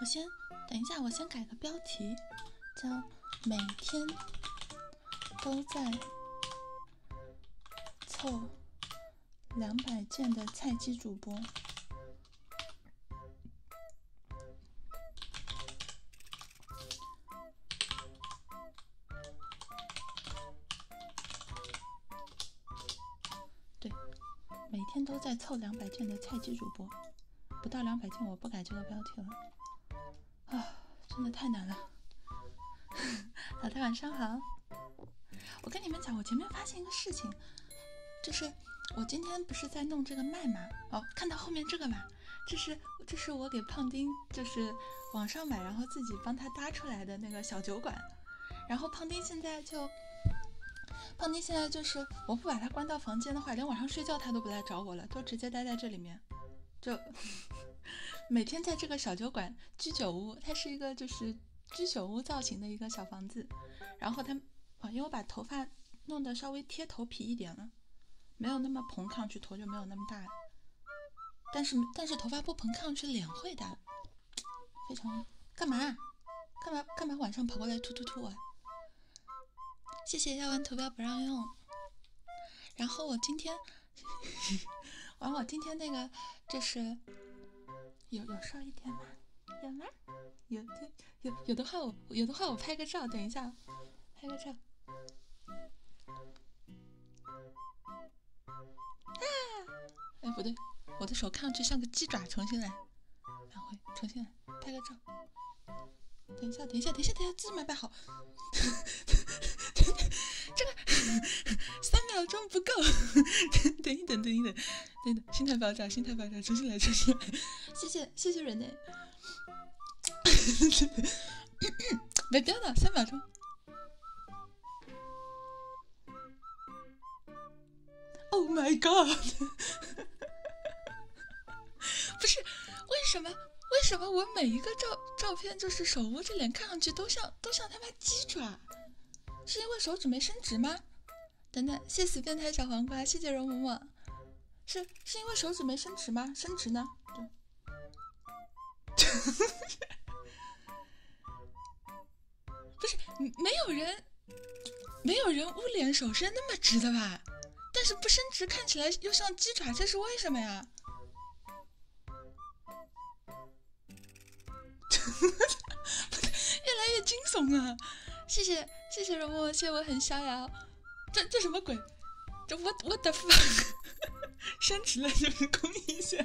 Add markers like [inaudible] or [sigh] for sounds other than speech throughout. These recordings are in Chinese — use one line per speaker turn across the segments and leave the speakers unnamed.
我先，等一下，我先改个标题，叫每天都在凑。两百件的菜鸡主播，对，每天都在凑两百件的菜鸡主播，不到两百件我不改这个标题了。啊，真的太难了！[laughs] 老太晚上好，我跟你们讲，我前面发现一个事情，就是。我今天不是在弄这个麦吗？哦，看到后面这个吗？这是这是我给胖丁，就是网上买，然后自己帮他搭出来的那个小酒馆。然后胖丁现在就，胖丁现在就是，我不把他关到房间的话，连晚上睡觉他都不来找我了，都直接待在这里面，就 [laughs] 每天在这个小酒馆居酒屋，他是一个就是。居酒屋造型的一个小房子，然后他，啊，因为我把头发弄得稍微贴头皮一点了，没有那么蓬，看上去头就没有那么大。但是但是头发不蓬，看上去脸会大。非常，干嘛？干嘛干嘛？晚上跑过来突突突啊！谢谢，要玩图标不让用。然后我今天，[laughs] 后我今天那个，这是有有瘦一点吗？有吗？有的有有的话我有的话我拍个照，等一下，
拍个照。啊！
哎，不对，我的手看上去像个鸡爪，重新来，返回，重新来，拍个照。等一下，等一下，等一下，等一下，姿势没摆好。[laughs] 这个三秒钟不够，[laughs] 等一等，等一等。真的，心态爆炸，心态爆炸，重新来，重新来。谢谢，谢谢人类。没掉呢，三秒钟。Oh my god！[laughs] 不是，为什么？为什么我每一个照照片就是手捂着脸，看上去都像都像他妈鸡爪？是因为手指没伸直吗？等等，谢谢变态小黄瓜，谢谢容嬷嬷。是是因为手指没伸直吗？伸直呢？[laughs] 不是，没有人，没有人捂脸手伸那么直的吧？但是不伸直看起来又像鸡爪，这是为什么呀？[laughs] 越来越惊悚啊！谢谢谢谢冷漠，谢谢我很逍遥。这这什么鬼？这 what what the fuck？升 [laughs] 职了就是恭喜一下。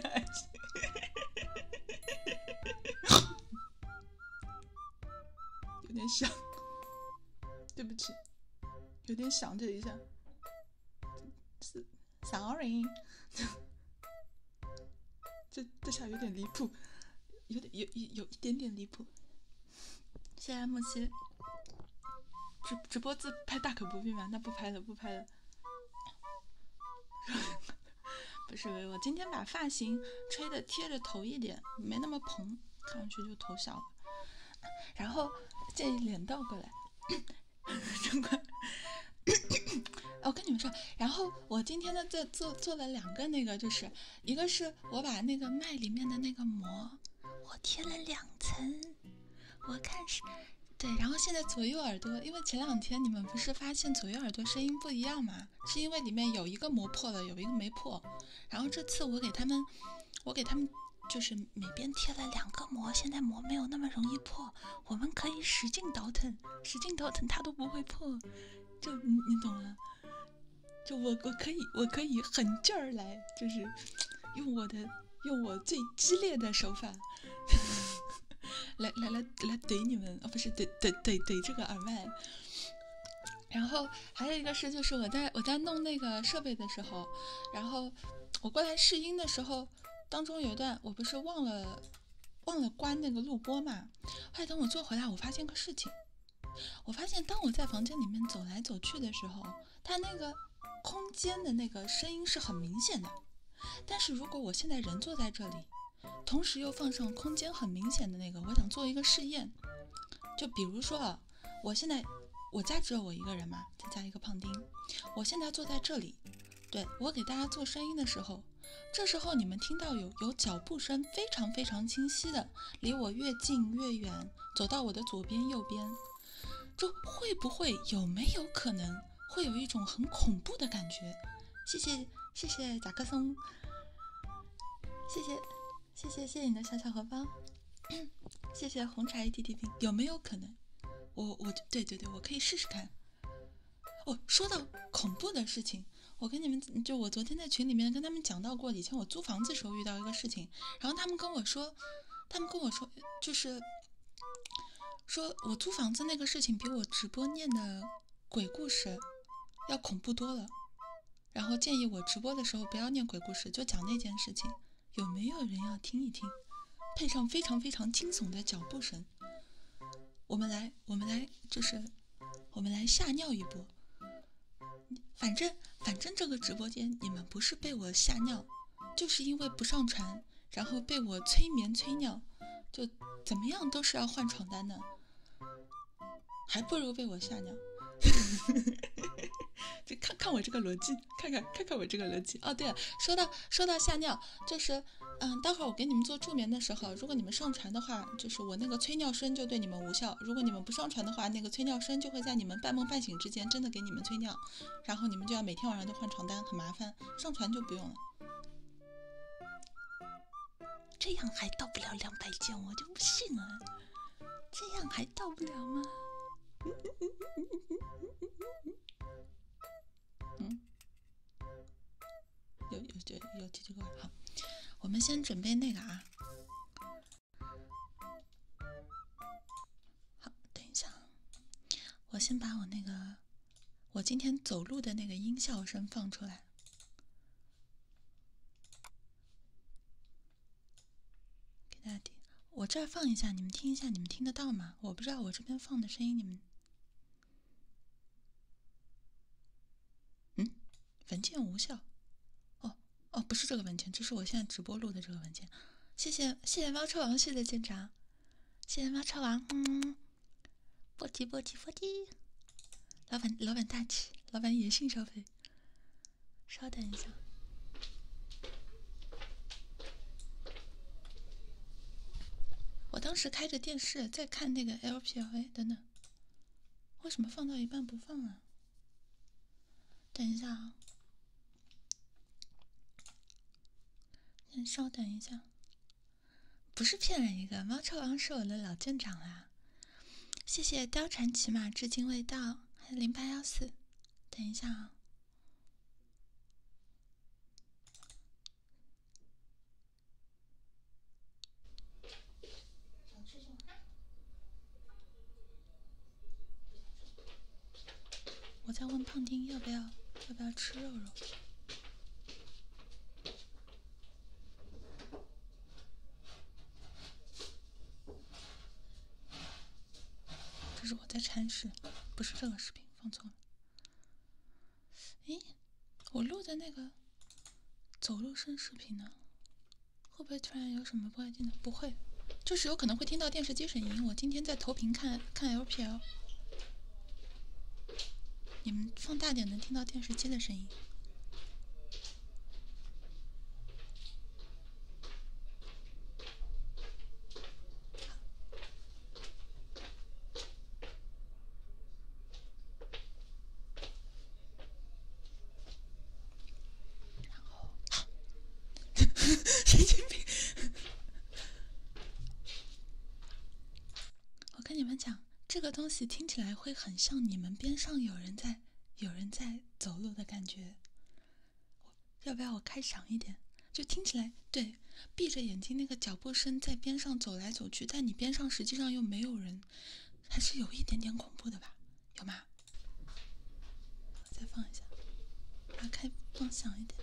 有点响，对不起，有点响，这一下。是，sorry。这这下有点离谱，有点有有有一点点离谱。谢谢木西，直直播自拍大可不必嘛，那不拍了不拍了。[laughs] 不是，我今天把发型吹的贴着头一点，没那么蓬，看上去就头小了。然后这脸倒过来，真乖。我 [coughs] 跟你们说，然后我今天呢，再做做了两个那个就是。一个是我把那个麦里面的那个膜，我贴了两层，我看是对，然后现在左右耳朵，因为前两天你们不是发现左右耳朵声音不一样吗？是因为里面有一个膜破了，有一个没破。然后这次我给他们，我给他们就是每边贴了两个膜，现在膜没有那么容易破，我们可以使劲倒腾，使劲倒腾它都不会破，就你你懂了。就我我可以我可以狠劲儿来，就是 [tsk] 用我的用我最激烈的手法 [laughs] 来来来来怼你们啊！不是怼怼怼怼这个耳麦。然后还有一个事就是我在我在弄那个设备的时候，然后我过来试音的时候，当中有一段我不是忘了忘了关那个录播嘛？来等我坐回来，我发现个事情。我发现，当我在房间里面走来走去的时候，它那个空间的那个声音是很明显的。但是如果我现在人坐在这里，同时又放上空间很明显的那个，我想做一个试验。就比如说啊，我现在我家只有我一个人嘛，再加一个胖丁。我现在坐在这里，对我给大家做声音的时候。这时候你们听到有有脚步声，非常非常清晰的，离我越近越远，走到我的左边右边，就会不会有没有可能会有一种很恐怖的感觉？谢谢谢谢贾克松，谢谢谢谢谢谢你的小小荷包，谢谢红茶一 t t p 有没有可能？我我对对对，我可以试试看。哦，说到恐怖的事情。我跟你们，就我昨天在群里面跟他们讲到过，以前我租房子时候遇到一个事情，然后他们跟我说，他们跟我说，就是说我租房子那个事情比我直播念的鬼故事要恐怖多了，然后建议我直播的时候不要念鬼故事，就讲那件事情，有没有人要听一听？配上非常非常惊悚的脚步声，我们来，我们来，就是。我们来吓尿一波，反正反正这个直播间，你们不是被我吓尿，就是因为不上传，然后被我催眠催尿，就怎么样都是要换床单的，还不如被我吓尿。[laughs] 就看看我这个逻辑，看看看看我这个逻辑。哦，对了，说到说到吓尿，就是嗯，待会儿我给你们做助眠的时候，如果你们上传的话。就是我那个催尿声就对你们无效，如果你们不上传的话，那个催尿声就会在你们半梦半醒之间真的给你们催尿，然后你们就要每天晚上都换床单，很麻烦。上传就不用了。这样还到不了两百件，我就不信了。这样还到不了吗？[laughs] 嗯。有有就有几几个好，我们先准备那个啊。好，等一下，我先把我那个我今天走路的那个音效声放出来，给大家听。我这儿放一下，你们听一下，你们听得到吗？我不知道我这边放的声音你们，嗯。文件无效，哦哦，不是这个文件，这是我现在直播录的这个文件。谢谢谢谢猫车王，谢谢舰长，谢谢猫车王。嗯，不急不急不急，老板老板大气，老板野性消费。稍等一下，我当时开着电视在看那个 l p l a 等等。为什么放到一半不放啊？等一下啊！稍等一下，不是骗人一个，猫臭王是我的老舰长啦！谢谢貂蝉骑马至今未到还有零八幺四，等一下啊！想吃就我在问胖丁要不要，要不要吃肉肉？这是我在铲屎，不是这个视频放错了。哎，我录的那个。走路声视频呢？会不会突然有什么不安静的？不会，就是有可能会听到电视机声音。我今天在投屏看看 LPL，你们放大点能听到电视机的声音。
然后，神经病！
我跟你们讲，这个东西听起来会很像你们边上有人在、有人在走路的感觉。要不要我开响一点？就听起来，对，闭着眼睛那个脚步声在边上走来走去，但你边上实际上又没有人。还是有一点点恐怖的吧，有吗？再放一下，打开，放小一点。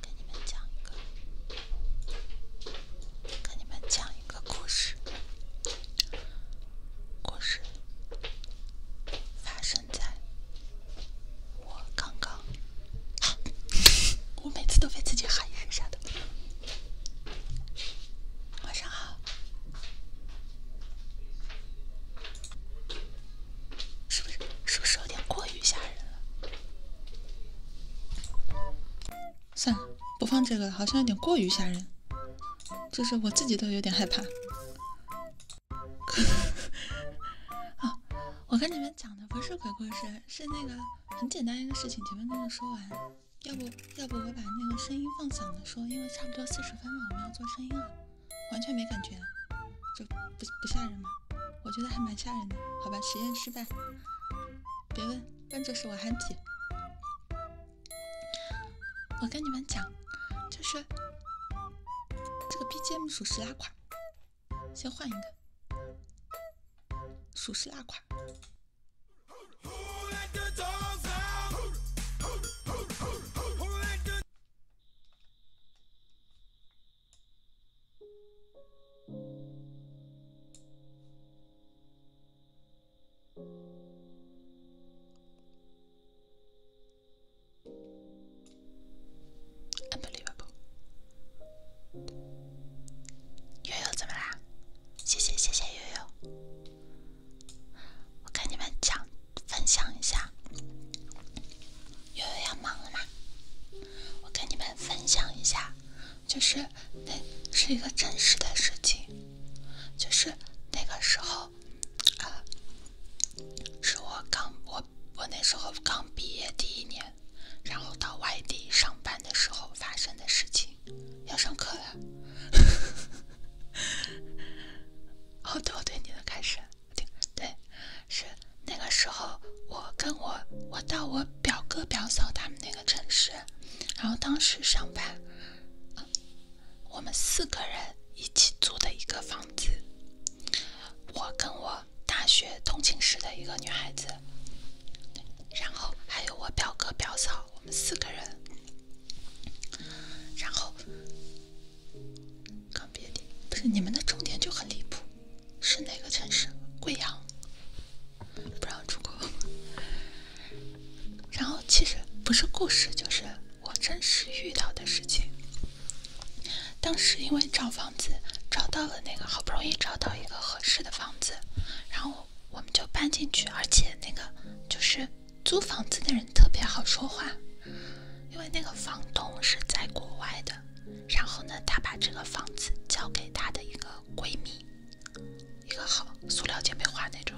给你们讲一个，给你们讲一个故事，故事发生。现在，我刚刚，[laughs] 我每次都被自己喊一声啥的。晚上好，是不是是不是有点过于吓人了？
算了，不放这个，了，好像有点过于吓人，就是我自己都有点害怕。[laughs] 我跟你们讲的不是鬼故事，是那个很简单一个事情。前面那个说完，要不要不我把那个声音放响的说？因为差不多四十分了，我们要做声音了，完全没感觉，就不不吓人吗？我觉得还蛮吓人的。好吧，实验失败。别问，问就是我憨皮。我跟你们讲。就是这个 BGM 属实拉垮，先换一个，
属实拉垮。
unbelievable。悠悠怎么啦？谢谢谢谢悠悠，我跟你们讲，分享一下，悠悠要忙了吗？我跟你们分享一下，就是那是一个真实的事情，就是那个时候，啊，是我刚我。我那时候刚毕业第一年，然后到外地上班的时候发生的事情。要上课了，[laughs] 哦，对，对，你的开始，对对，是那个时候我跟我我到我表哥表嫂他们那个城市，然后当时上班，我们四个人一起租的一个房子。我跟我大学同寝室的一个女孩子，然后还有我表哥表嫂，我们四个人。然后，毕别的，不是你们的终点就很离谱，是哪个城市？贵阳，不让出国。然后其实不是故事，就是我真实遇到的事情。当时因为找房子找到了那个，好不容易找到一个合适的房子，然后我们就搬进去。而且那个就是租房子的人特别好说话，因为那个房东是在国外的。然后呢，他把这个房子交给他的一个闺蜜，一个好塑料姐妹花那种，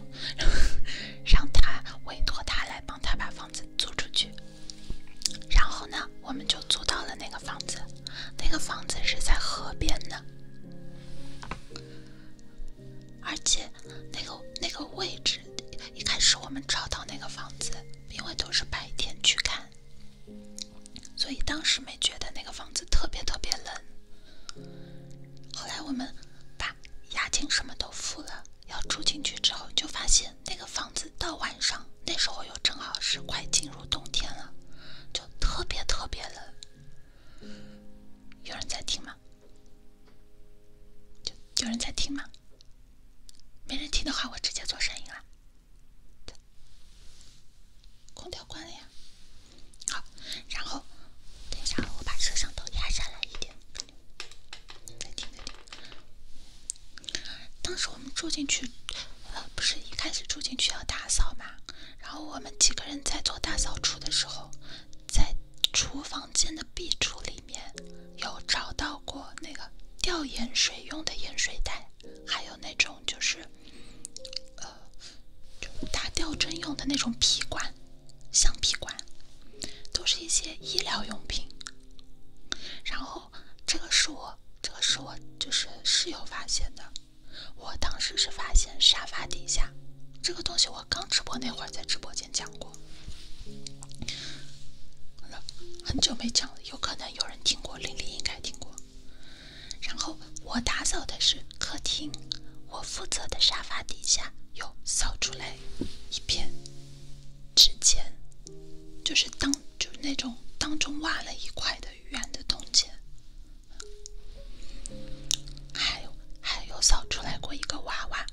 [laughs] 让他委托他来帮他把房子租出去。然后呢，我们就租到了那个房子，那个房子是在河边的，而且那个那个位置，一开始我们找到那个房子，因为都是白天去看，所以当时没觉得那个房子特别特别冷。后来我们把押金什么都付了。要住进去之后，就发现那个房子到晚上，那时候又正好是快进入冬天了，就特别特别冷。有人在听吗？就有人在听吗？没人听的话，我直接做声音了。空调关了呀。好，然后等一下，我把摄像头压下来一点。当时我们住进去，呃，不是一开始住进去要打扫嘛？然后我们几个人在做大扫除的时候，在厨房间的壁橱里面有找到过那个吊盐水用的盐水袋，还有那种就是，呃，打吊针用的那种皮管、橡皮管，都是一些医疗用品。然后。这个是我，这个是我就是室友发现的。我当时是发现沙发底下这个东西，我刚直播那会儿在直播间讲过了，很久没讲了，有可能有人听过，玲玲应该听过。然后我打扫的是客厅，我负责的沙发底下有扫出来一片。指尖，就是当就那种当中挖了一块的圆的铜钱，还有还有扫出来过一个娃娃，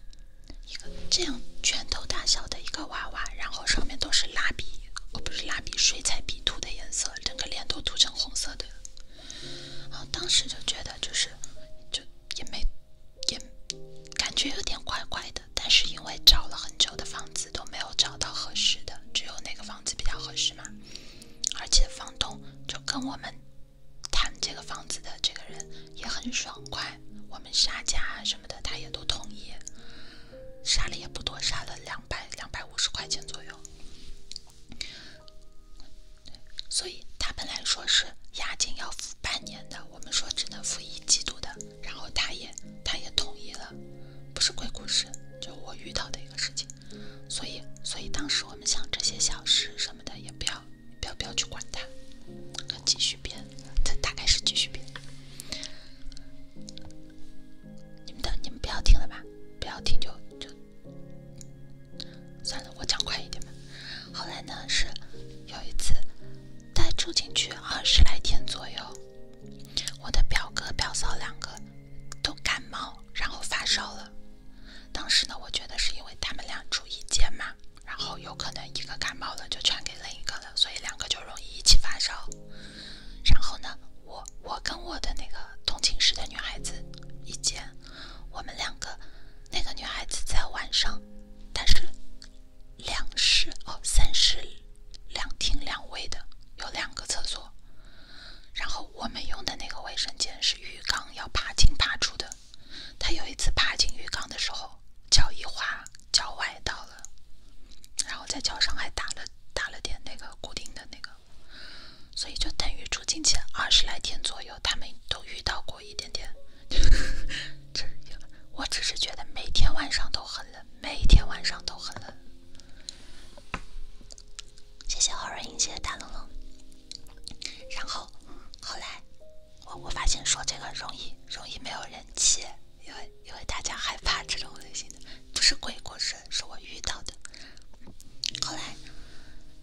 一个这样拳头大小的一个娃娃，然后上面都是蜡笔，哦不是蜡笔水彩笔涂的颜色，整个脸都涂成红色的，然后当时就觉得就是就也没。也感觉有点怪怪的，但是因为找了很久的房子都没有找到合适的，只有那个房子比较合适嘛。而且房东就跟我们谈这个房子的这个人也很爽快，我们杀价啊什么的，他也都同意，杀了也不多，杀了两百两百五十块钱左右。所以他本来说是押金要付半年的，我们说只能付一季度的。然后他也他也同意了，不是鬼故事，就我遇到的一个事情，所以所以当时我们想这些小事什么的也不要不要不要去管它，继续编，这大概是继续编。你们的你们不要听了吧，不要听就就算了，我讲快一点吧。后来呢是有一次。待住进去二十来天左右，我的表哥表嫂两个都感冒，然后发烧了。当时呢，我觉得是因为他们俩住一间嘛，然后有可能一个感冒了就传给另一个了，所以两个就容易一起发烧。然后呢，我我跟我的那个同寝室的女孩子一间，我们两个那个女孩子在晚上，但是。两室哦，三室两厅两卫的，有两个厕所。然后我们用的那个卫生间是浴缸，要爬进爬出的。他有一次爬进浴缸的时候，脚一滑，脚崴到了，然后在脚上还打了打了点那个固定的那个。所以就等于住进前二十来天左右，他们都遇到过一点点。[laughs] 我只是觉得每天晚上都很。冷，每天晚上都很冷。谢谢好人谢谢大龙龙。然后，后来我我发现说这个容易容易没有人气，因为因为大家害怕这种类型的，不是鬼故事，是我遇到的。后来，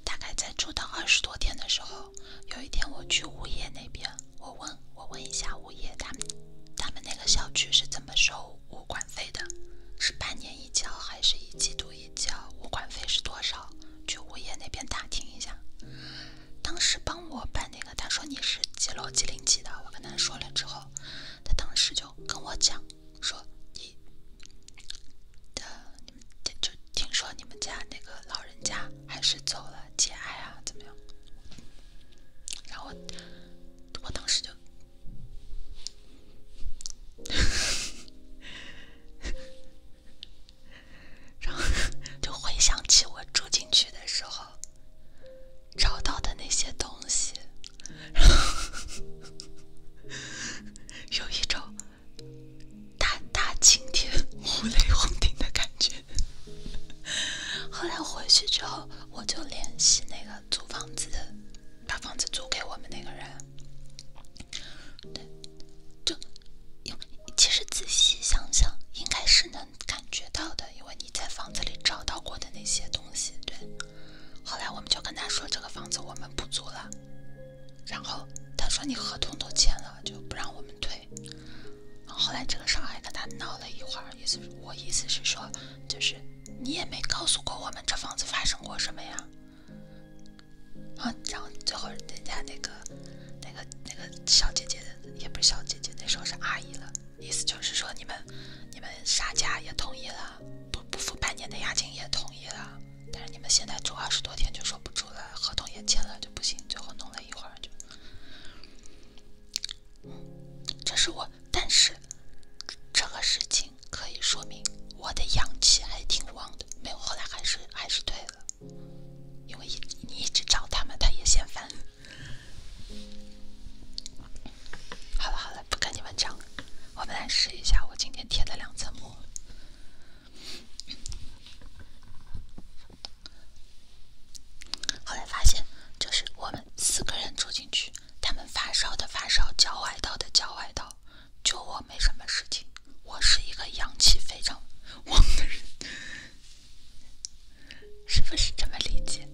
大概在住到二十多天的时候，有一天我去物业那边。我问，我问一下物业，他们他们那个小区是怎么收物管费的？是半年一交，还是一季度一交？物管费是多少？去物业那边打听一下。当时帮我办那个，他说你是几楼几零几的，我跟他说了之后，他当时就跟我讲说，你，的你们就听说你们家那个老人家还是走了，节哀啊，怎么样？然后，我当时就，[laughs] 然后就回想起我住进去的时候找到的那些东西，[laughs] 有一种大大晴天、[laughs] 五雷轰顶的感觉。后来回去之后。我就联系那个租房子的，把房子租给我们那个人。对，就，其实仔细想想，应该是能感觉到的，因为你在房子里找到过的那些东西。对，后来我们就跟他说这个房子我们不租了，然后他说你合同都签了，就不让我们退。后来这个小还跟他闹了一会儿。意思我意思是说，就是你也没告诉过我们这房子发生过什么呀？啊，然后最后人家那个那个那个小姐姐，也不是小姐姐，那时候是阿姨了。意思就是说，你们你们啥家也同意了，不不付半年的押金也同意了，但是你们现在住二十多天就说不住了，合同也签了就不行，最后弄了一会儿就。这是我，但是这个事情可以说明我的阳气还挺旺的。没有，后来还是还是退了，因为一你一直找他们，他也嫌烦。好了好了，不跟你们讲了，我们来试一下我今天贴的两层膜。后来发现，就是我们四个人住进去，他们发烧的发烧，脚崴到的脚崴到，就我没什么事情。我是一个阳气非常旺的人，是不是这么理解？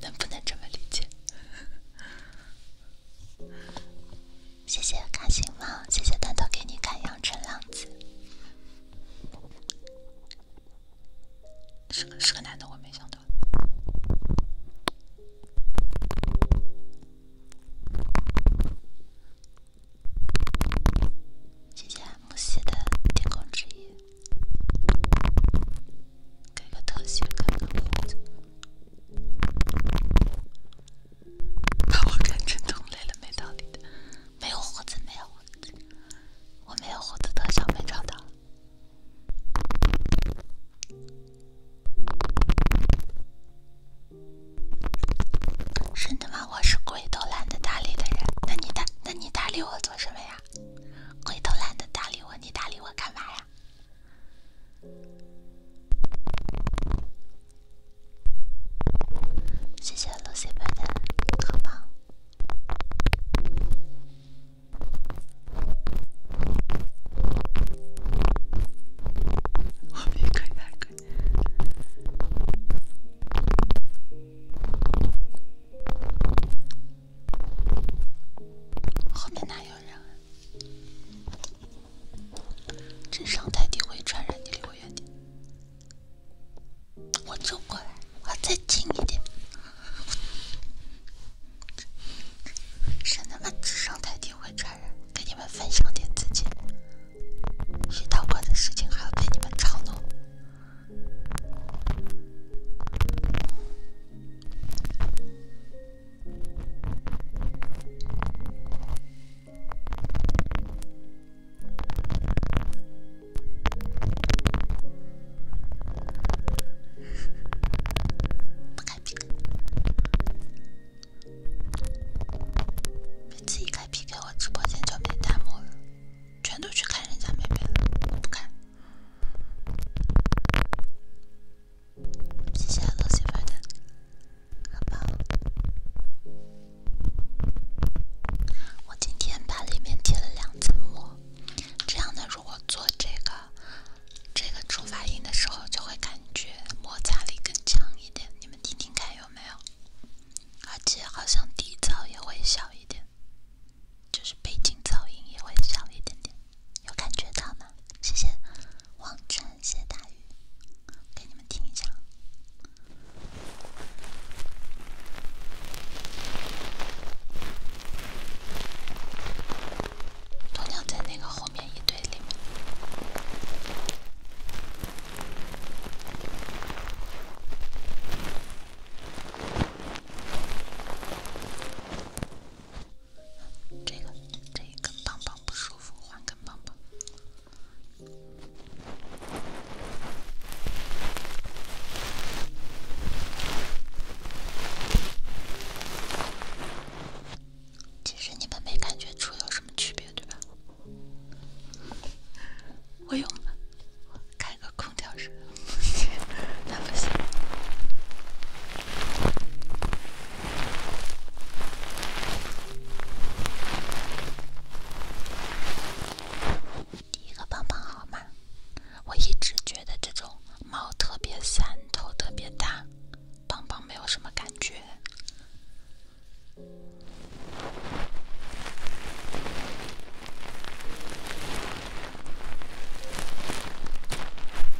能不能这么理解？谢谢开心猫，谢谢蛋头给你看《阳春浪子》。是个是个男的，我没想到。谢谢 M 四的天空之翼，给个特写看看胡子，把我看成
同类了没道理的，没有胡子，没有胡子，我没有胡子特效没找到。
真的吗？我是鬼都懒得搭理的人，那你搭那你搭理我做什么呀？鬼都懒得搭理我，你搭理我干嘛呀？谢谢露西粉的，好棒。后面可以，后面哪有人？身上泰迪会传染，你离我远点。我走过来，我再近一点。是他妈智商太低会传染，给你们分享点自己，遇到过的事情还要被你们嘲弄。[laughs] 不开开 P K，我直播间就没弹幕了，全都去看人家妹妹了。不看，谢谢老媳妇的我今天把里面贴了两层膜，这样呢。我做这个这个触发音的时候，就会感觉摩擦力更强一点。你们听听看有没有，而且好像底噪也会小一点，就是背景噪音也会小一点点。有感觉到吗？谢谢王晨，谢谢大鱼，给你们听一下。鸵鸟在那个后面一堆里面。这个，这一根棒棒不舒服，换根棒棒。其实你们没感觉出有什么区别，对吧？
我有了，开个空调是。[laughs] 那不行。
第一个棒棒好吗？我一直觉得这种毛特别散，头特别大，邦邦没有什么感觉。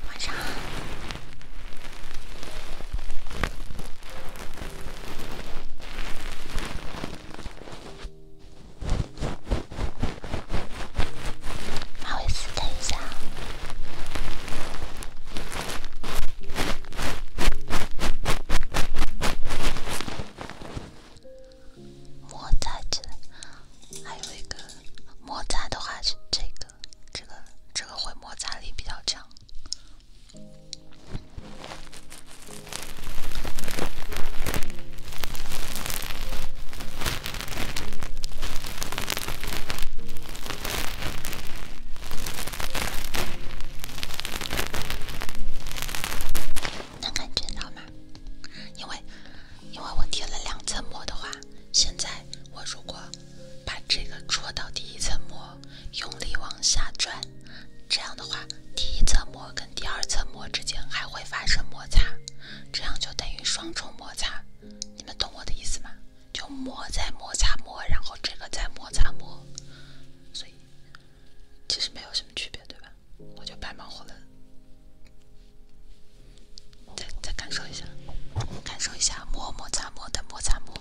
晚上。
好意思，等一下。
摩擦着，还有这个摩擦的话是这个，这个这个会摩擦力比较强。能感觉到吗？因为，因为我贴了两层膜的话，现在我如果把这个戳到第一层膜，用力往下转，这样的话，第一层膜跟第二层膜之间还会发生摩擦，这样就等于双重。摩擦，你们懂我的意思吗？就磨再摩擦磨，然后这个再摩擦磨，所以其实没有什么区别，对吧？我就白忙活了。再再感受一下，感受一下磨摩擦磨的摩擦磨。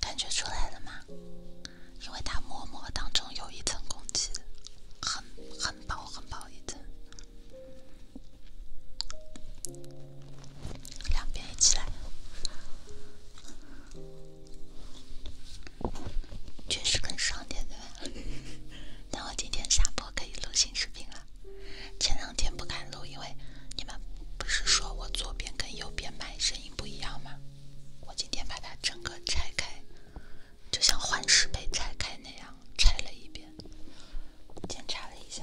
感觉出来了吗？
因为它膜膜当中有一层空气，很很薄很薄一层，两边一起来，确实更爽点。[laughs] 那我今天下播可以录新视频了。前两天不敢录，因为你们不是说我左边跟右边麦声音不一样吗？我今天把它整个拆开。就像幻视被拆开那样拆了一遍，检查了一下。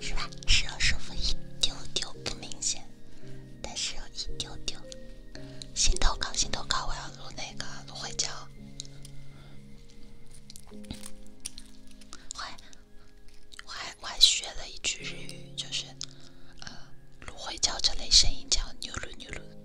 是吧？是要舒服一
丢丢，不明显，但是一丢丢。心头高，心头高。我要录那个芦荟胶。会，我还我还学了一句日语，就是芦荟胶这类声音叫牛芦牛芦。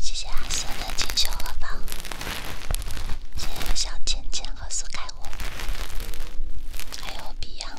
谢谢阿三的锦绣河房，谢谢小倩倩和苏开文，还有 Beyond。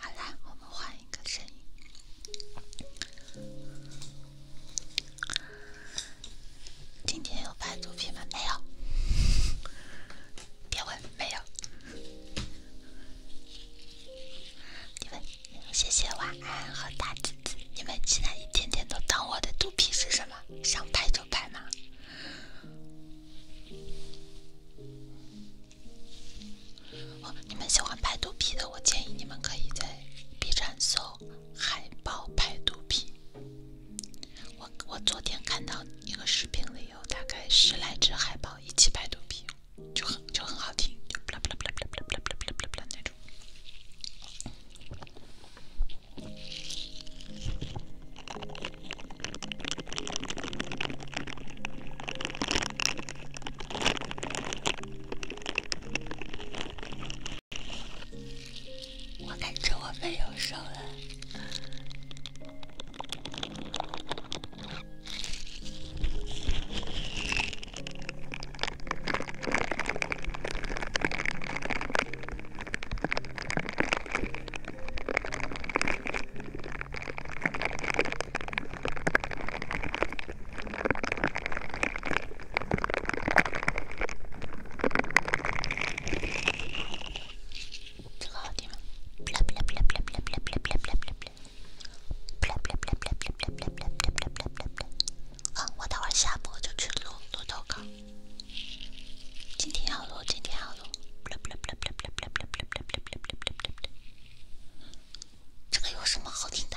好啦，我们换一个声音。今天有拍肚皮吗？没有。别问，没有。谢谢晚安和大橘子。你们竟然一天天都当我的肚皮是什么？想拍拍吗？哦，你们喜欢拍肚皮的，我建议你们可以在 B 站搜“海豹拍肚皮”。我我昨天看到一个视频里有大概十来只海豹一起拍肚皮，就很就很好听，就不啦不啦不啦不啦不啦不啦不啦不啦那种。我感觉我没有瘦了。啊，我等会下播就去录录投稿。今天要录，今天要录。这个有什么好听的？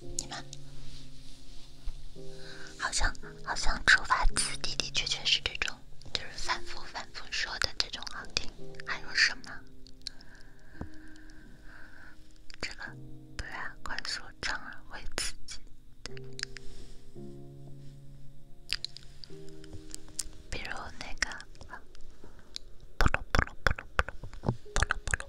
你们好像好像出发词，的的确确是这种，就是反复反复说的这种好听。还有什么？这个对啊，快速转耳会刺激。比如那个，扑噜扑噜扑噜扑噜，扑噜扑噜。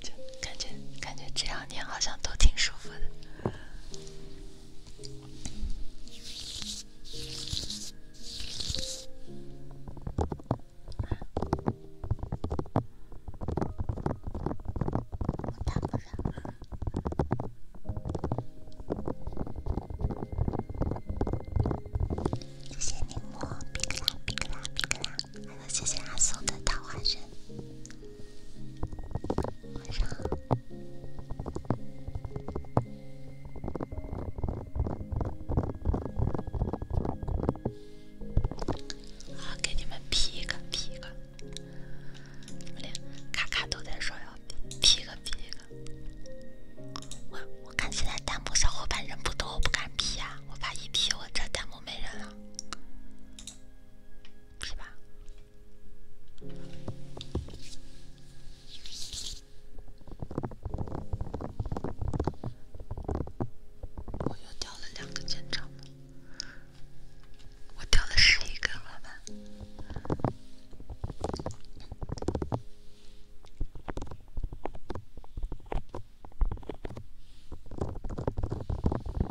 就感觉感觉这两年好像都挺舒服的。谢谢还有谢谢阿松的桃花石。晚上好。给你们 P 一个 P 一个，咔咔都在说要 P 一个 P 一个。我我看现在弹幕小伙伴人不多，我不敢 P 呀。我怕一 P 我这弹幕没人了。是吧？我又掉了两个舰长，我掉了十一个了，吧？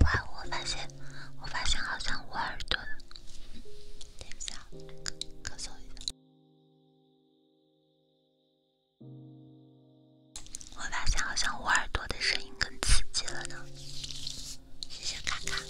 哇！我发现，我发现好像我耳朵……等一下，咳嗽一下。我发现好像我耳朵的声音更刺激了呢。谢谢卡卡，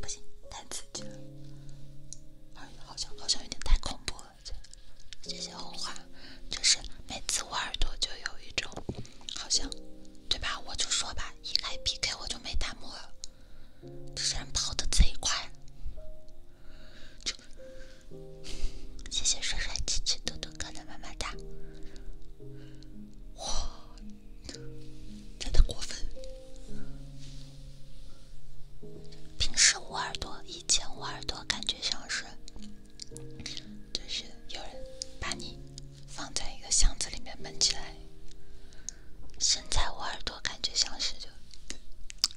不太刺激了！耳好像好像有点太恐怖了。谢谢红花，就是每次我耳朵就有一种，好像，对吧？我就说吧，一开 PK 我就没弹幕了。这人跑的贼快！就谢谢帅帅、气气嘟嘟哥的么么哒！哇，真的过分！平时捂耳朵，以前捂耳朵感觉像是，就是有人把你。放在一个箱子里面闷起来，现在我耳朵感觉像是就，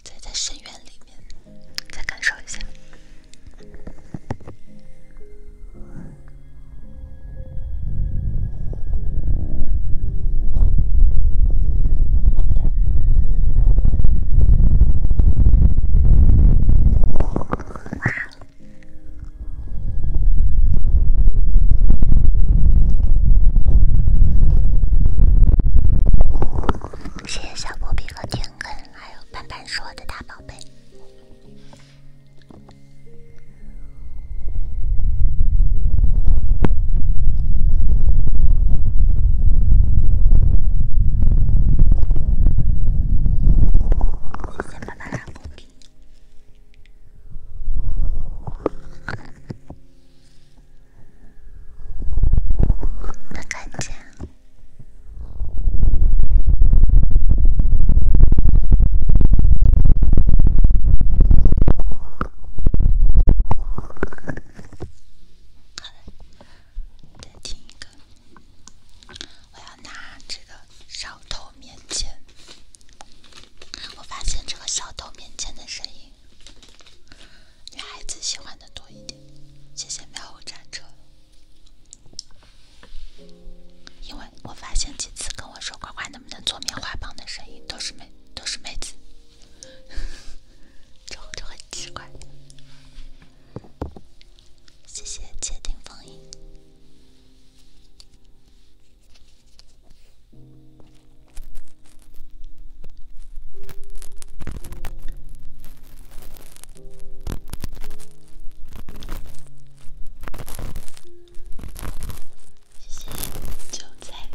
在在深渊里面，再感受一下。谢谢小波比和天根，还有斑斑说的大宝贝。先把它的头。面前，我发现这个小偷面前的声音，女孩子喜欢的多一点。谢谢喵呜战车，因为我发现几次跟我说乖乖能不能做棉花棒的声音都是妹都是妹子，[laughs] 就就很奇怪。谢谢窃听风音。谢谢韭菜。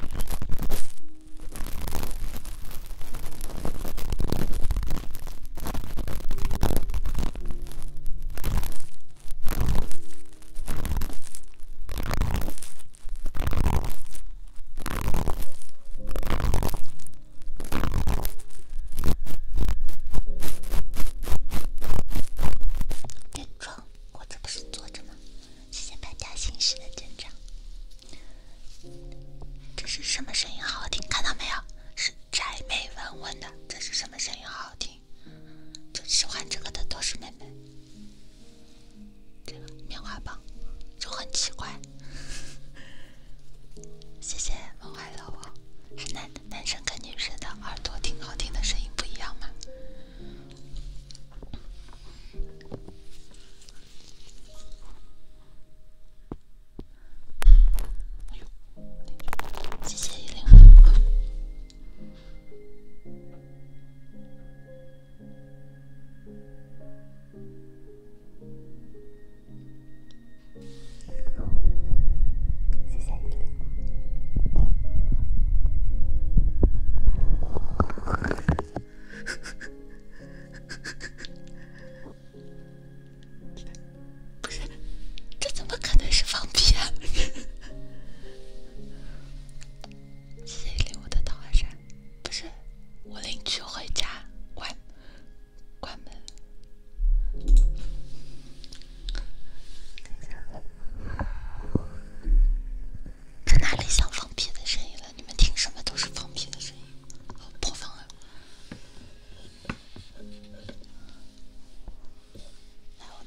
别装，我这不是坐着吗？谢谢百家心
事的镇长。这是什么声音好好听？看到没有？是宅妹文文的。这是什么声音好好听？就喜欢这个的都是妹妹。这个棉花棒就很奇怪。谢谢梦海的我。男男生跟女生的耳朵听好听的声音不一样吗？谢谢依琳。谢谢你们。不是，这怎么可能是放屁？谁领我的唐花扇？不是，我领取回家关关门。这哪里像放屁的声音了？你们听什么都是放屁的声音，好破防啊！来。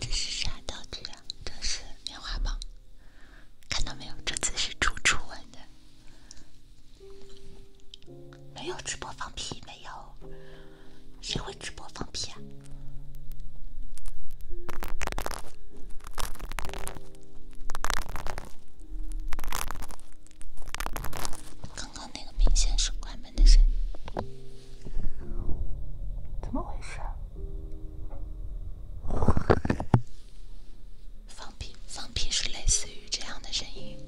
这是啥道具啊？这是棉花棒，看到没有？这次是楚楚玩的，没有直播放屁，没有，谁会直播放屁啊？刚刚那个明显是关门的声音，怎么回事？放屁，放屁是类似于这样的声音。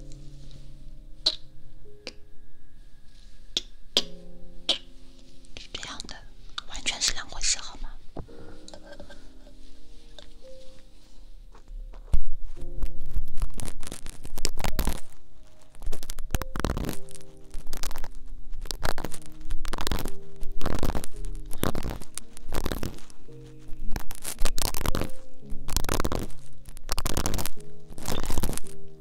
是这样的，完全是两回事，好吗？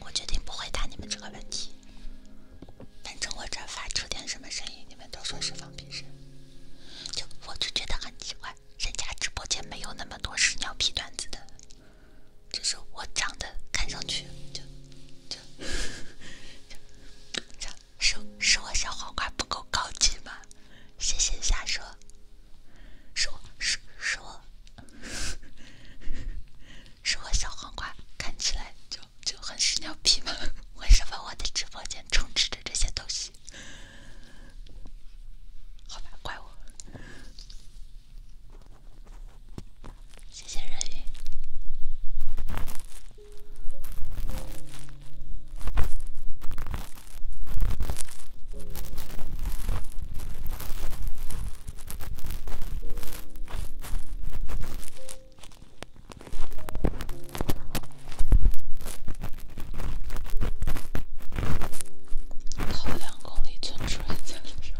我决定不回答你们这个问题。反正我这发出点什么声音，你们都说是放屁声，就我就觉得很奇怪。人家直播间没有那么多屎尿屁段子的，就是我长得看上去就就就，是是，我小黄瓜不够高级吗？谢谢瞎说，是我是是我，是我小黄瓜看起来就就很屎尿屁吗？为什么我的直播间充斥着这些东西？好吧，怪我。谢谢任鱼。跑两公里存出来再说。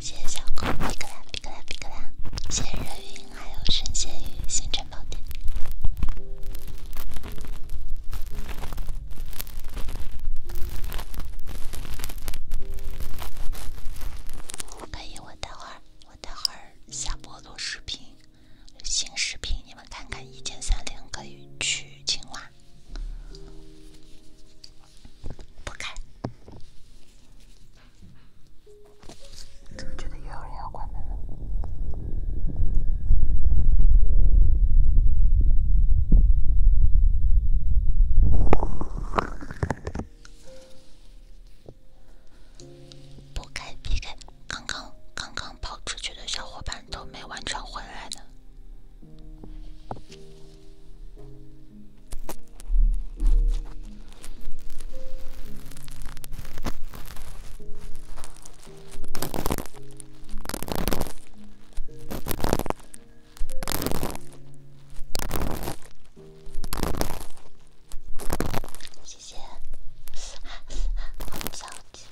谢谢小酷，皮克啦皮克啦皮克啦！谢谢人鱼，还有神仙鱼，星辰宝典。哎呀，我等会儿，我等会儿下播录视频。新视频，你们看看，一键三连可以去青蛙。不开，怎么觉得有人要关门了？不开 p 开，刚刚刚刚跑出去的小伙伴都没完全回来呢。谢谢，[laughs]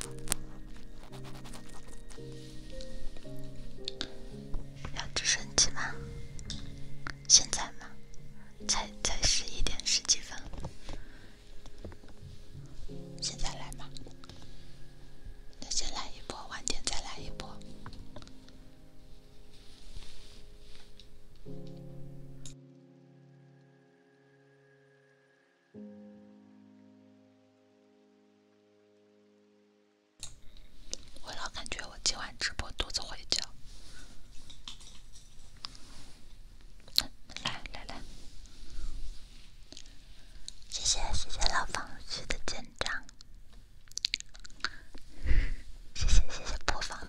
要直升机吗？现在吗？才才十一点十几分，现在来吧。先来一波，晚点再来一波。我老感觉我今晚直播肚子会叫。来来来，谢谢谢谢老房区的建章，谢谢谢谢播放。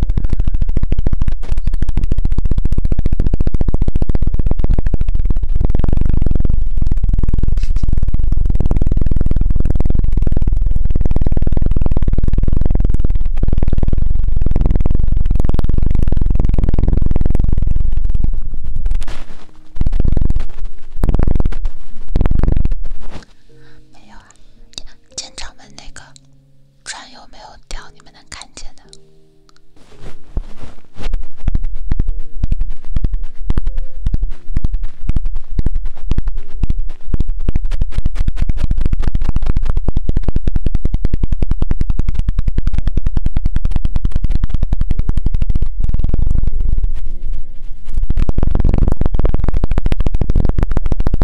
没有啊，检查门那个。船有没有掉？你们能看见的。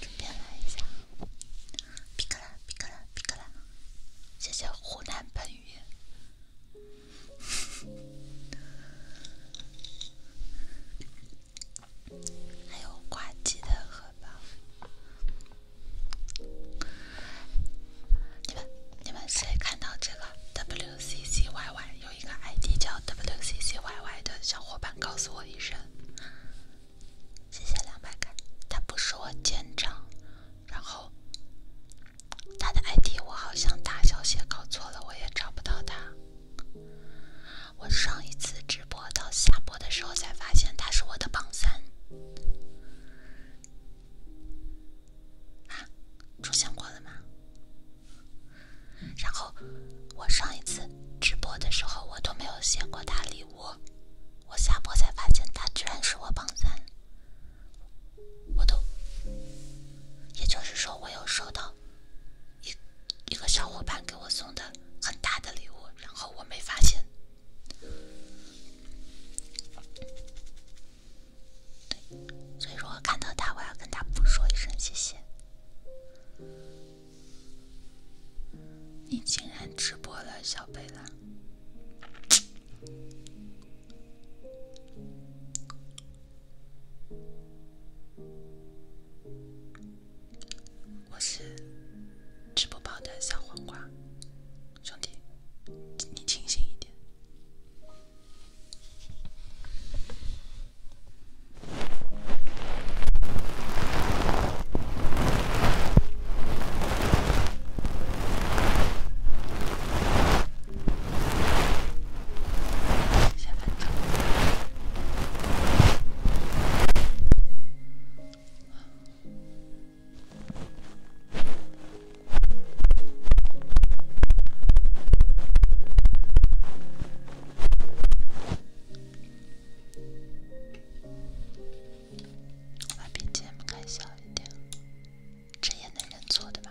这边来一下，皮克啦，皮克啦，皮克啦！谢谢湖南朋友，还有挂机的荷包。你们你们谁看到这个 W C C Y Y 有一个 I D 叫 W C C Y Y 的小伙伴告诉我一声，谢谢两百个，他不是我舰长，然后他的 I D 我好像大小写搞错了，我也找不到他。我上一次直播到下播的时候才发现他是我的榜三。啊，出现过了吗？然后我上一次直播的时候，我都没有写过他礼物，我下播才发现他居然是我榜三，我都，也就是说我有收到一一个小伙伴给我送的很大的礼物，然后我没发现。所以，如果看到他，我要跟他不说一声谢谢。你竟然直播了，小贝拉！
我是吃不饱
的小黄瓜。兄弟，你清醒一点。我把 BGM 开小一点，这也男人做的吧？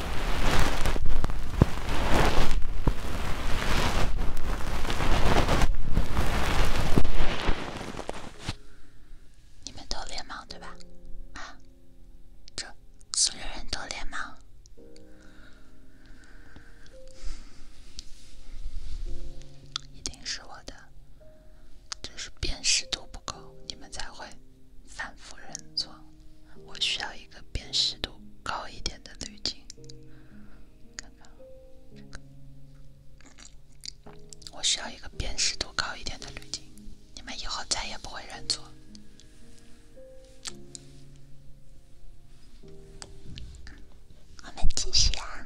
你们都连盲对吧？啊，这所有人都连盲，一定是我的，只是辨识度不够，你们才会反复认错。我需要一个辨识度高一点的滤镜。我需要一个辨识度高一点的滤镜，你们以后再也不会认错。我们继续啊。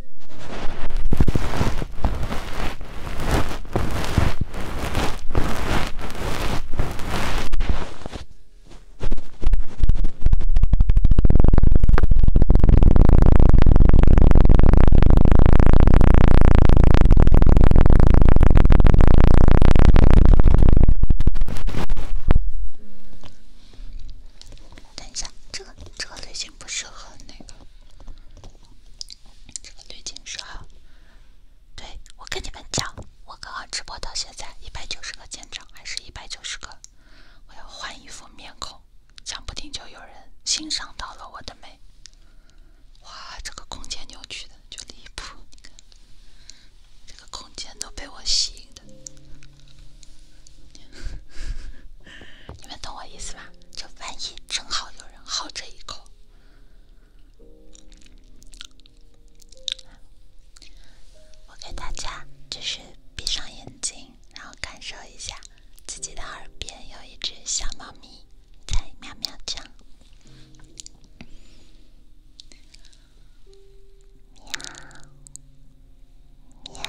等一下，这个这个最近。不适合那个这个滤镜是啊，对我跟你们讲，我刚刚直播到现在一百九十个点证，还是一百九十个。我要换一副面孔，讲不定就有人欣赏到了我的美。哇，这个空间扭曲的就离谱，这个空间都被我吸引的。[laughs] 你们懂我意思吧？这万一正好有人好这一口，我给大家就是闭上眼睛，然后感受一下自己的耳边有一只小猫咪在喵喵叫。喵。喵。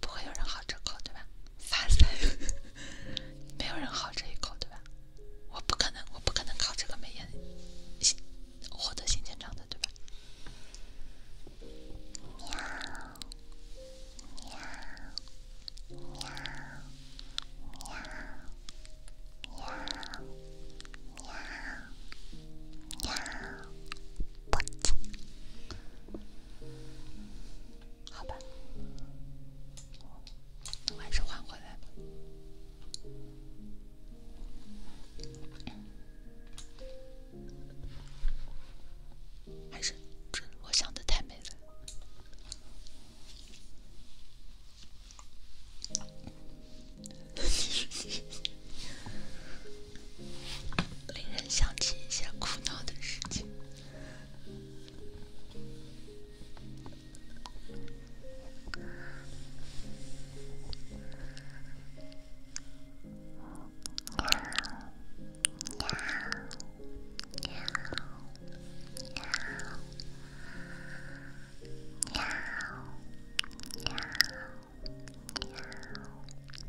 不会有人好这口对吧？发财，[laughs] 没有人好这一口对吧？我不可能，我不可能靠这个美颜，获得新战场的，对吧？好吧，我还是换回来吧。还是，这我想的太美了。[laughs] 令人想起一些苦恼的事情。喵喵喵喵喵喵！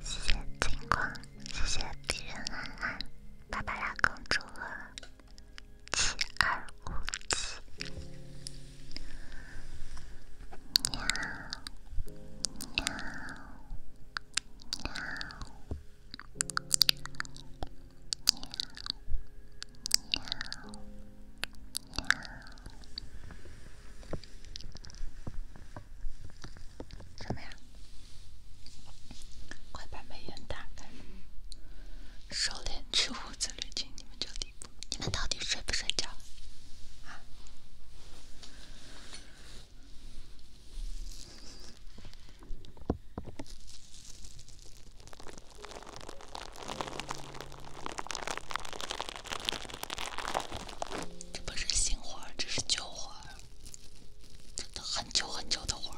谢谢金光，谢谢别人，安安，芭芭拉公主。七二五七，喵，么样？快把美颜打开，收敛去胡子滤镜，你们就。你们到底睡不睡觉？啊！这不是新活儿，这是旧活儿，真的很久很久的活儿。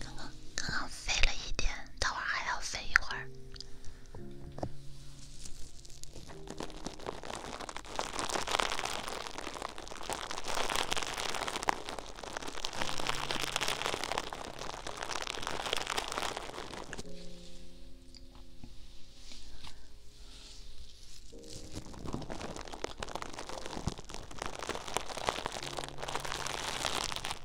刚刚刚刚飞了一点，等会儿还要飞一会儿。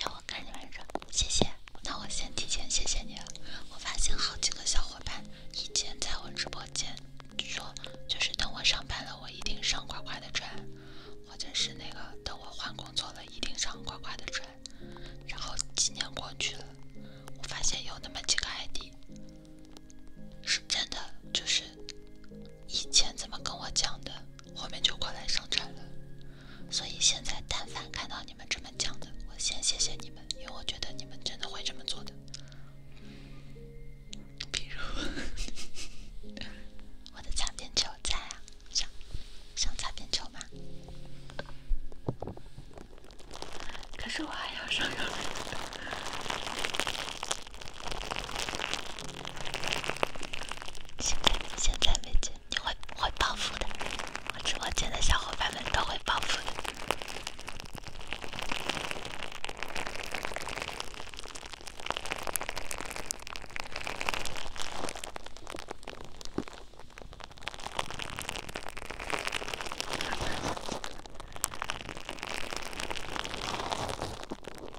让我看你来着，谢谢。那我先提前谢谢你了。我发现好几个小伙伴以前在我直播间说，就是等我上班了，我一定上快快的赚，或者是那个等我换工作了，一定上快快的赚。然后几年过去了，我发现有那么几个 ID 是真的，就是以前怎么跟我讲的。后面就过来生产了，所以现在但凡看到你们这么讲的，我先谢谢你们，因为我觉得你们真的会这么做的。比如，[laughs] 我的擦边球在啊，想，想擦边球吗？可是我还要上园。现在，现在没进，你会不会报复的？我直播间的小伙伴们都会报复的。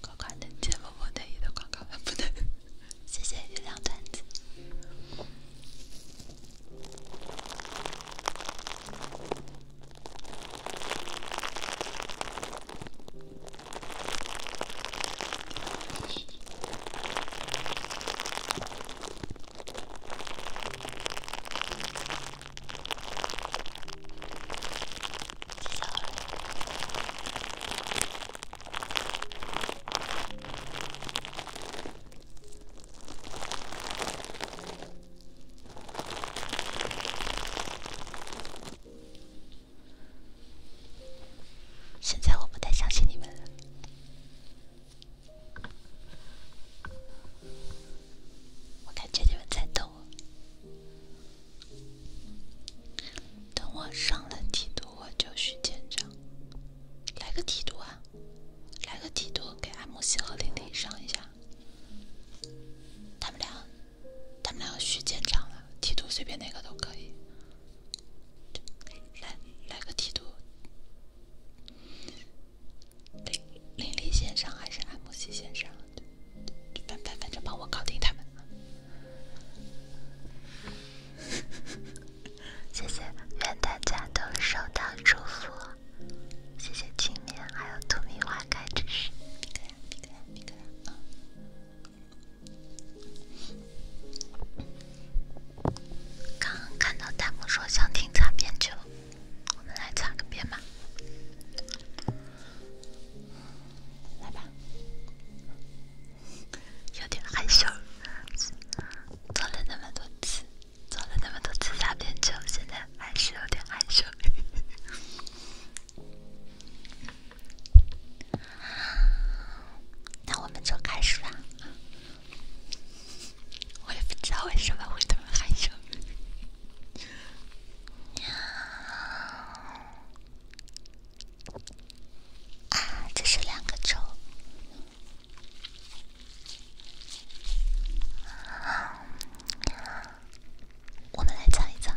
广告的、见某某内衣的广告不能。谢谢月亮团子。现在我不太相信你们了，我感觉你们在逗我。等我上了梯度，我就去见长。来个梯度啊！来个梯度给 MC 和林林上一下。他们俩，他们俩要去见长了，梯度随便哪个都可以。来，来个梯度。林林先上还是安慕希先上？反反反正帮我搞定他们。[laughs] 谢谢，愿大家都收到祝福。谢谢青棉，还有荼蘼花开之时。刚刚看到弹幕说想听擦边曲，我们来擦个边吧。来吧。有点害羞，做了那么多次，做了那么多次撒片酒，现在还是有点害羞。那我们就开始吧。我也不知道为什么会这么害羞。啊，这是两个轴。我们来尝一尝。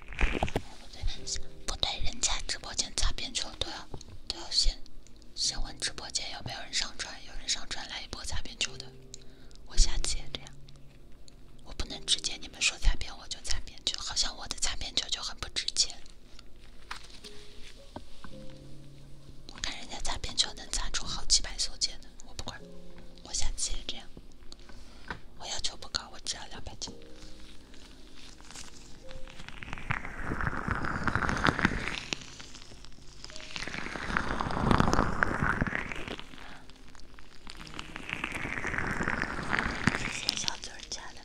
不对，不对，人家直播间擦边球都要都要先先问直播间有没有人上传，有人上传来一波擦边球的，我下次也这样。我不能直接你们说擦边我就擦边就好像我的擦边球就很不值钱。我看人家擦边球能擦出好几百送件的，我不管，我下次也这样。我要求不高，我只要两百斤。谢谢小嘴儿家的。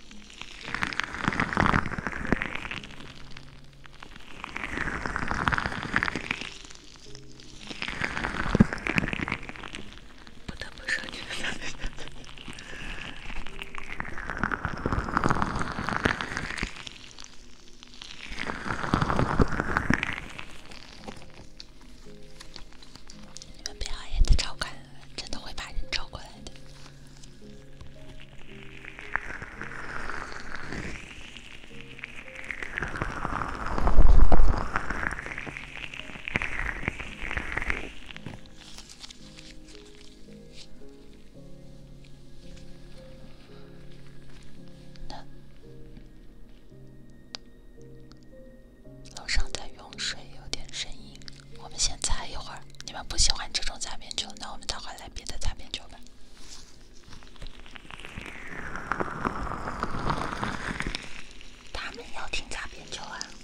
不得不说，你们真的……你们不要脸的招过来，真的会把人招过来的。那楼上在用水，有点声音。我们先擦一会儿。你们不喜欢这种擦边球，那我们倒好来别的擦边球吧。他们要听擦边球啊。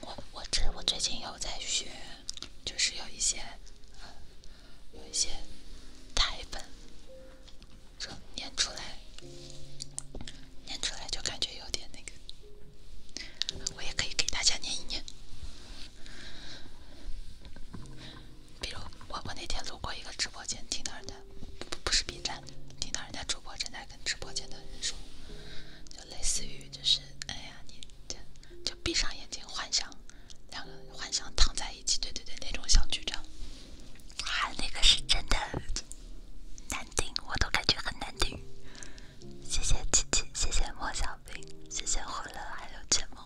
我我这我最近有在学，就是有一些，有一些台本，说念出来，念出来就感觉有点那个。我也可以给大家念一念，比如我我那天路过一个直播间，听到人家不不不是 B 站，听到人家主播正在跟直播间的人说，就类似于就是哎呀你就闭上眼睛幻想两个幻想躺在一起，对对对那种小剧场，啊那个是真的难听，我都感觉很难听。谢谢琪琪，谢谢莫小。谢谢欢乐还有剑梦，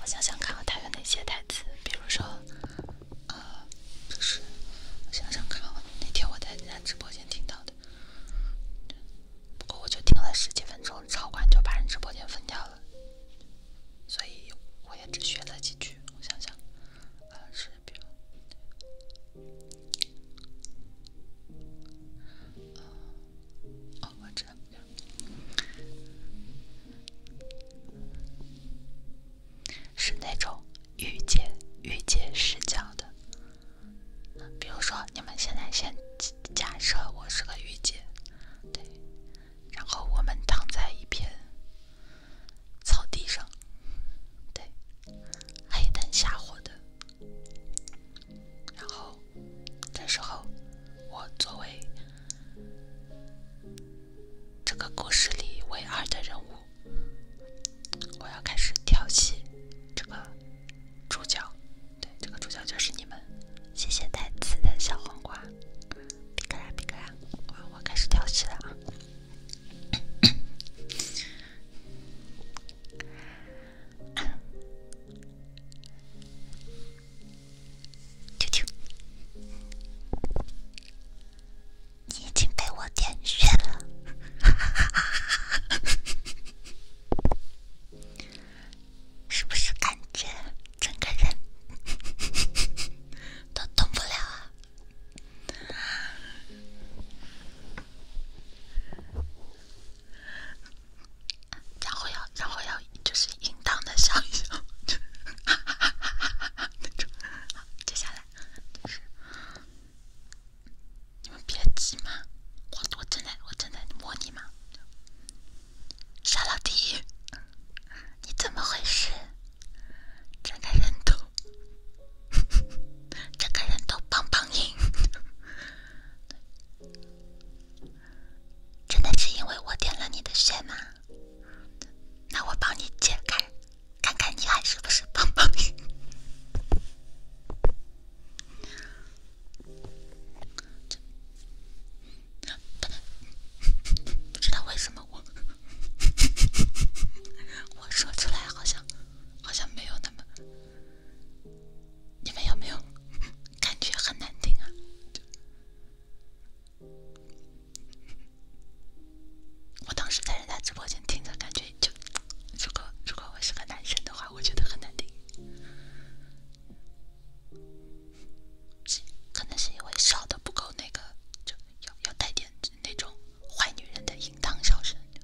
我想想看，他有哪些台词？比如说，呃，这是我想想看，那天我在人家直播间听到的，不过我就听了十几分钟，超管就把人直播间封掉了，所以我也只学了几句。我想想，呃，是比如。哦，我知道，是那种御姐御姐视角的。比如说，你们现在先假设我是个御姐，对，然后我们躺在一片草地上，对。黑灯瞎火的，然后这时候，我作为这个故事里唯二的人物，我要开始调戏这个主角。对，这个主角就是你们。谢谢带词的小黄瓜，皮克呀皮克呀，我开始调戏了啊！
啾啾，你已经被我点穴了，[laughs] 是不是感觉整个人都动
不了啊？然后要，然后要，就是应当的笑一笑。哈哈哈哈哈！接下来，你们别急嘛，我我正在，我正在摸你嘛。小老弟，你怎么回事？睁开人头。[laughs] 整个人都棒棒硬，[laughs] 真的是因为我点了你的穴吗？那我帮你解开，看看你还是不是棒棒硬。
不知道为什么我，[laughs]
我说出来好像好像没有那么。你们有没有 [laughs] 感觉很难听啊？我当时在人家直播间听着，感觉就，如果如果我是个男生的话，我觉得很难听。可能是因为笑的不够那个，就要要带点那种坏女人的淫荡笑声。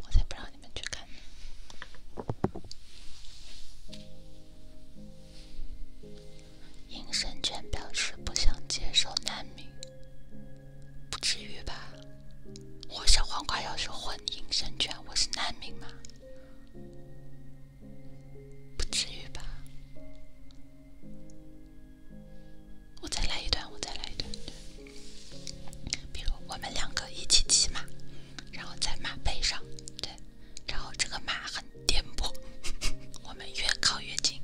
我才不让你们去看呢！鹰神犬表示不想接受难民，不至于吧？我小黄瓜要是混鹰神犬，我是难民吗？不至于吧？我再来一段，我再来一段。比如我们两个一起骑马，然后在马背上，对，然后这个马很颠簸，[laughs] 我们越靠越近。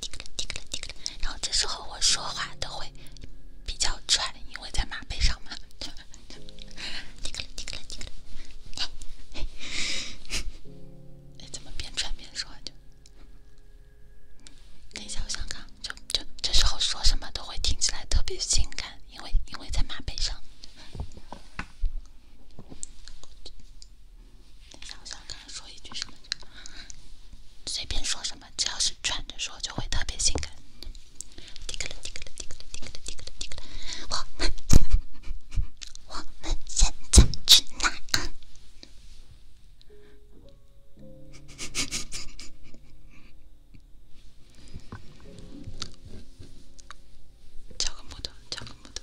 滴个了，滴个了，滴个了。然后这时候我说话都会比较喘，因为在马背上嘛。滴个了，滴个了，滴个了。哎，怎么边喘边说？就等一下，我想想啊，就就这时候说什么都会听起来特别性感，因为因为在马背上。等 [laughs] 下，我想跟他说一句什么随便说什么，只要是穿着说就会特别性感。滴个了，滴个了，滴个了，滴个了，滴个了，滴个了，我们我们现在去哪？长个毛的，长个毛的。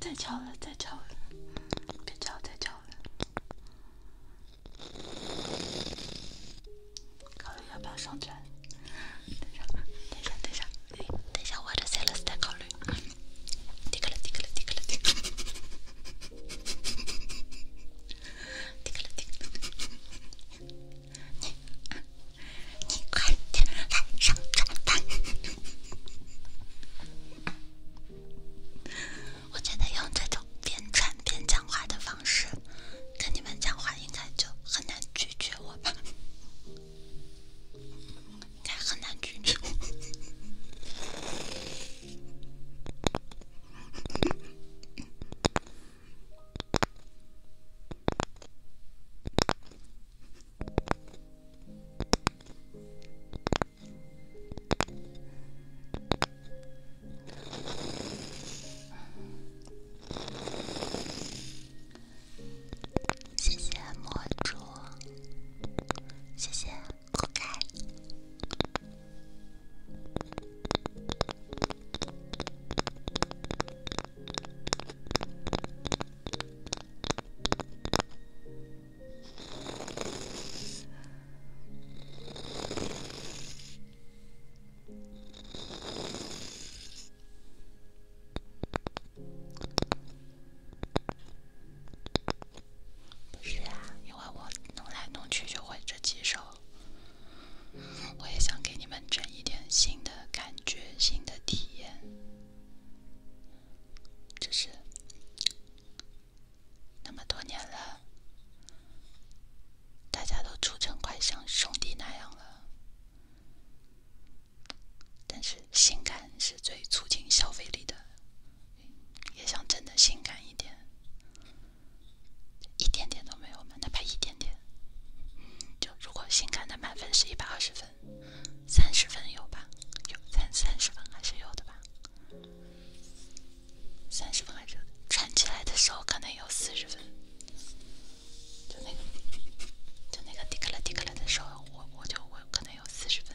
再吵了，再吵了，别吵，再吵了。
考虑要不要上去？等下，等
下，等下，等下，我你你快点来上床单！[laughs] 我觉得用这种边穿边讲话的方式跟你们讲话，应该就很难拒绝我吧？应该很难拒绝。[laughs] 谢谢魔主，谢谢酷盖。是啊，因为我弄来弄去就会这几首。我也想给你们整一点新的感觉，新的体验。就是那么多年了，大家都处成快像兄弟那样了，但是性感是最促进消费力的，也想真的性感一点。一点点都没有吗？哪怕一点点？就如果性感的满分是一百二十分，三十分有吧？有三三十分还是有的吧？三十分还是有。穿起来的时候可能有四十分？就那个，就那个滴咖了滴咖了的时候，我我就我可能有四十分。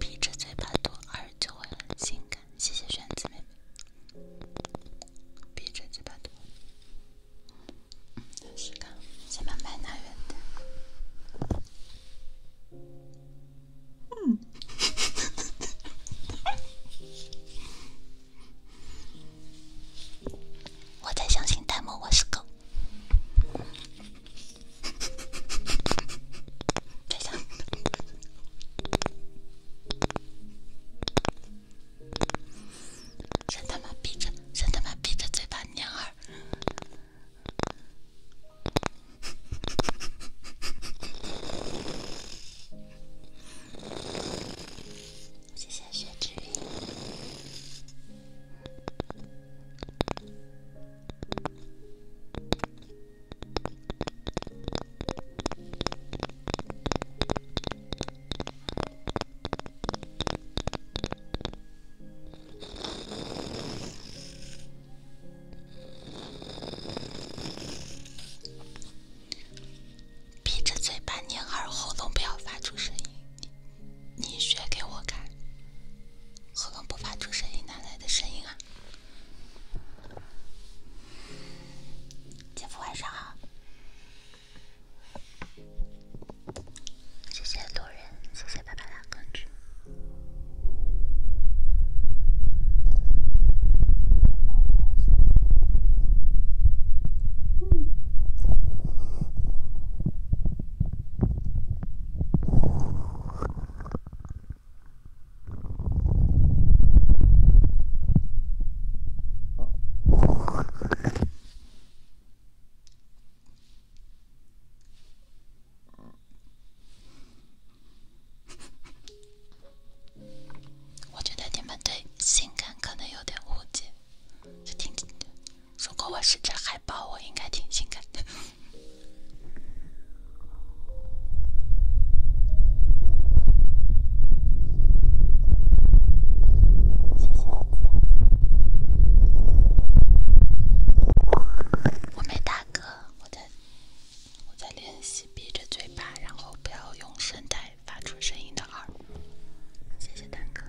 闭着嘴巴读二就会很性感，谢谢萱子妹妹。闭着嘴巴读，很性感。先把麦拿远点。我才相信弹幕我是狗。他妈
闭着，他妈闭着嘴巴，娘儿。谢谢雪之雨。
闭着嘴巴，捏耳，喉咙不要发出声音。你学给我看，喉咙不发出声音，哪来的声音啊？姐夫，晚上好。谢谢路人，谢谢爸爸的关注。嗯。我觉得你们对性感可能有点误解，是听着的。如果我是只海豹，我应该挺性感的。谢谢。我没大哥，我在，我在练习闭着嘴巴，然后不要用声带发出声音的二。小蛋哥，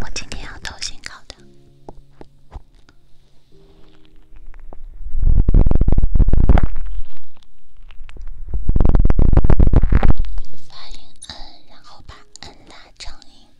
我今天要投新稿的，发音“嗯”，然后把“嗯”拉长音。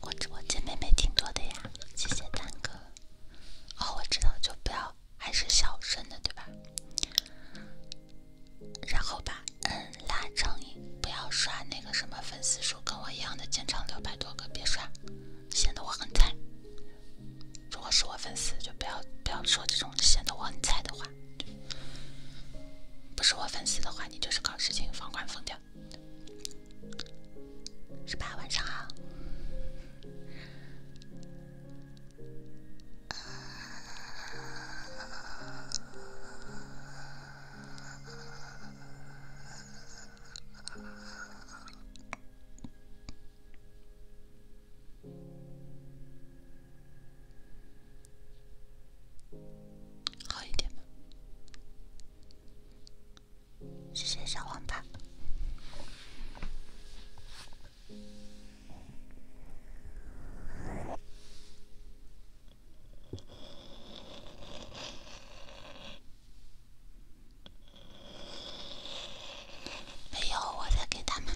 我直播间妹妹挺多的呀，谢谢蛋哥。哦，我知道，就不要，还是小声的，对吧？然后吧，嗯，拉长音，不要刷那个什么粉丝数跟我一样的，肩长六百多个，别刷，显得我很菜。如果是我粉丝，就不要不要说这种显得我很菜的话。不是我粉丝的话，你就是搞事情，房管封掉，十八，晚上好。
好一点吗？谢谢小黄蛋。没
有，我在给他们，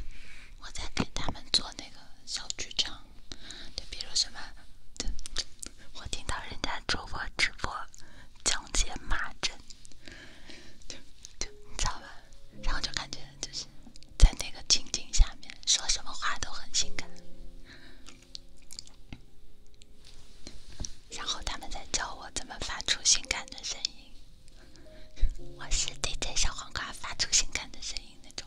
我在给他们做那个小剧场。就比如什么，我听到人家主播直播讲解骂针，就你知道吧？然后就感觉就是在那个情景下面说什么话都很性感，然后他们在教我怎么发出性感的声音，我是 DJ 小黄瓜发出性感的声音那种。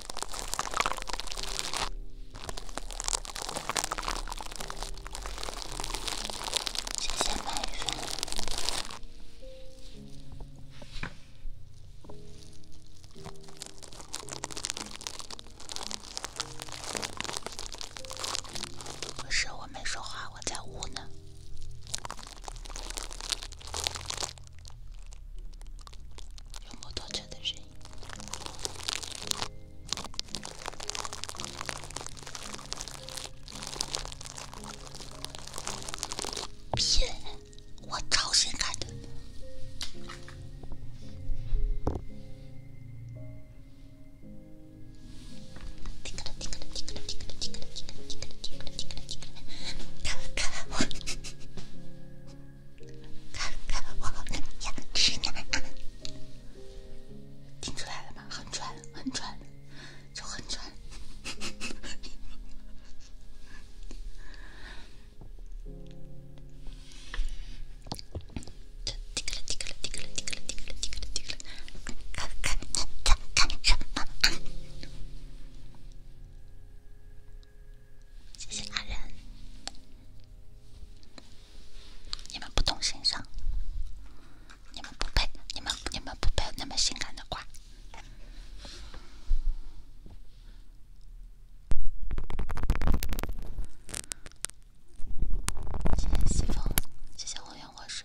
谢谢奶是，我没说话，我在屋呢。有摩托车的声音。骗！我超性感的。看看我呀，直男啊！听出来了吗？很准，很准，就很准。提起了，提起了，提起了，提起了，提起了，提起
了，提起了，看看你这干什么啊？谢谢阿仁，
你们不懂欣赏，你们不配，你们你们不配那么性感的瓜。西风，谢谢浑圆沃水。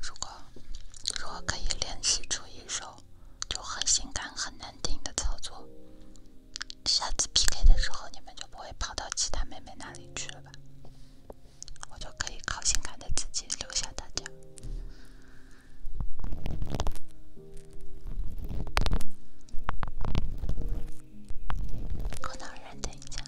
如果如果可以练习出一首就很性感很难听的操作，下次 PK 的时候你们就不会跑到其他妹妹那里去了吧？我就可以靠性感的自己留下大家。可能人等一下，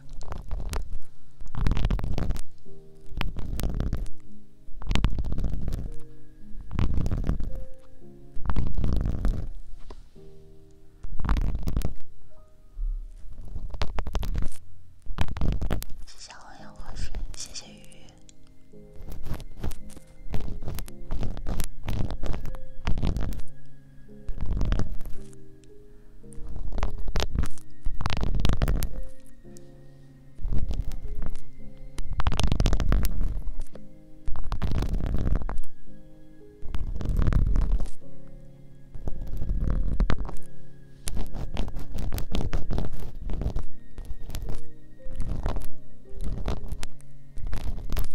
谢谢欧喝水，谢谢鱼。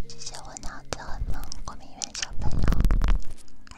谢谢，我脑子很萌，光明园小朋友。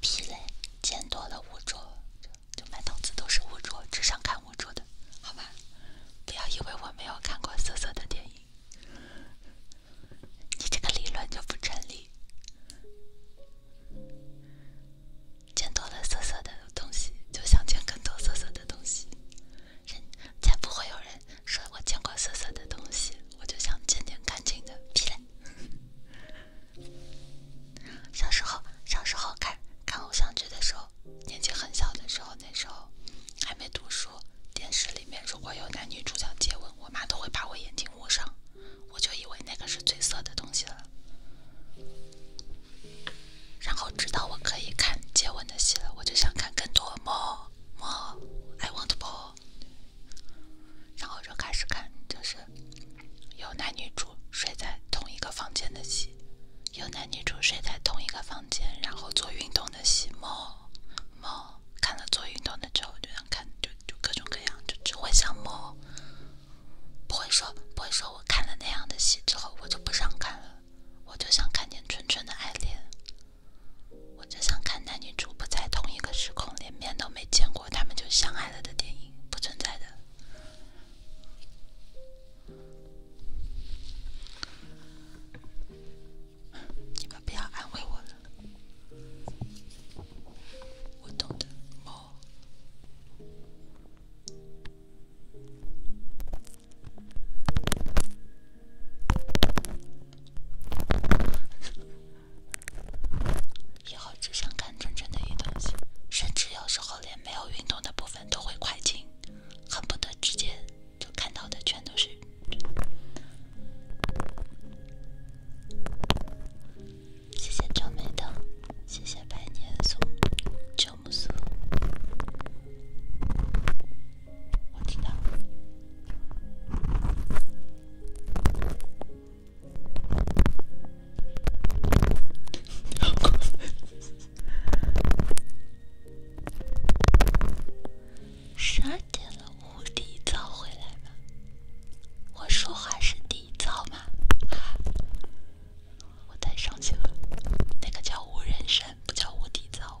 屁嘞！见多了污浊，就买东西都是污浊，只想看污浊的，好吗？不要以为我没有看过涩涩的电影，你这个理论就不成立。见多了涩涩的东西，就想见更多涩涩的东西。才不会有人说我见过涩涩的东西，我就想见点干净的。屁嘞！小时候，小时候看看偶像剧的时候，年纪很小的时候，那时候还没读书。电视里面如果有男女主角接吻，我妈都会把我眼睛捂上。我就以为那个是最色的东西了。然后直到我可以看接吻的戏了，我就想看更多，more，more，I want more。然后就开始看，就是有男女主睡在同一个房间的戏，有男女主睡在同一个房间然后做运动的戏。猫猫看了做运动的之后就想看，就就各种各样，就只会想猫，不会说不会说我看了那样的戏之后我就不想看了，我就想看见纯纯的爱恋。我只想看男女主不在同一个时空，连面都没见过，他们就相爱了的电影，不存在的。你们不要安慰我了，我懂的。哦。以后只想看真正的一段戏，甚至有时候连没有运动的部分都会快进，恨不得直接就看到的全都是。谢谢正美的，谢谢百年松、秋木苏。我知道。十二点了，无敌早回来吗？我说话是底灶吗？啊，我太伤心了，那个叫无人山，不叫无敌灶。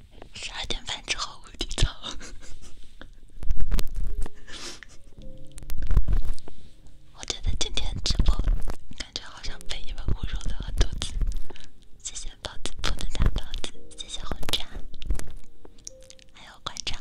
十二点半之后我就走了。我觉得今天直播感觉好像被你们侮辱了很多次。谢谢包子铺的大包子，谢谢红茶，还有馆长。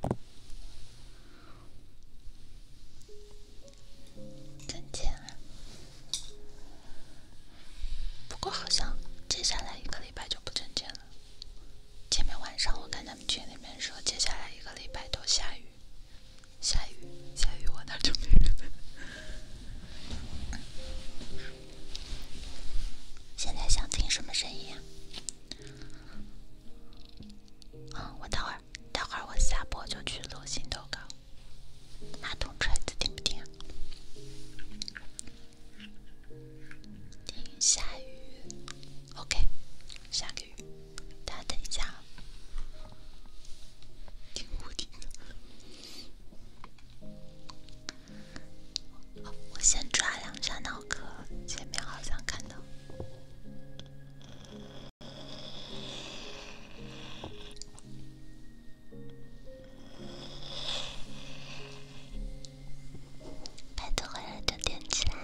挣钱不过好像接下来一个礼拜就不挣钱了。前面晚上我看他们群里面说，接下来一个礼拜都下雨，下雨下雨，我那就 [laughs] 现在想听什么声音啊？嗯，我等会儿，等会儿我下播就去做新投稿，拿桶锤子听不听？听下雨，OK，下个雨，大家等一下。听无敌的。我先抓两张脑壳，前面好像看到，拍图回来就点起来，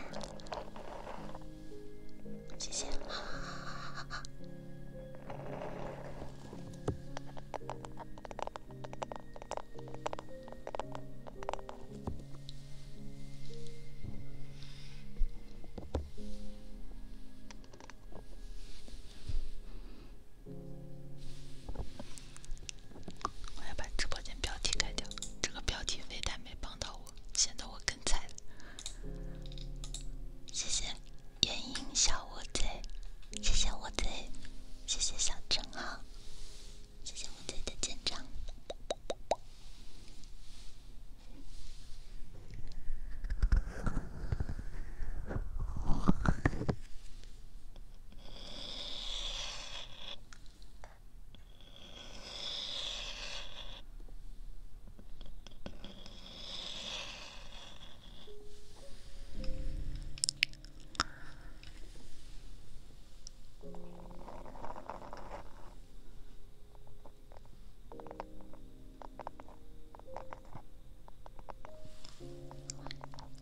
谢谢。[laughs] 我要把直播间标题改掉，这个标题非但没帮到我，显得我更菜了。谢谢眼影小窝子，谢谢我子，谢谢小正号。谢谢五姐的见证。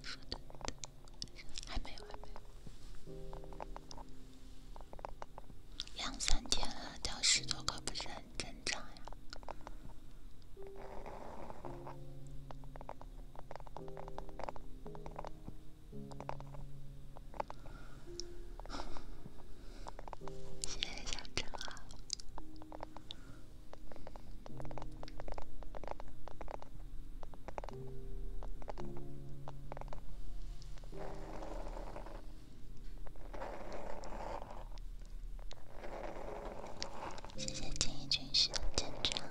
说的，说还没有，还没有，两三天了，掉十多个不是很正常呀？谢谢小橙啊！谢谢锦衣军师的真诚。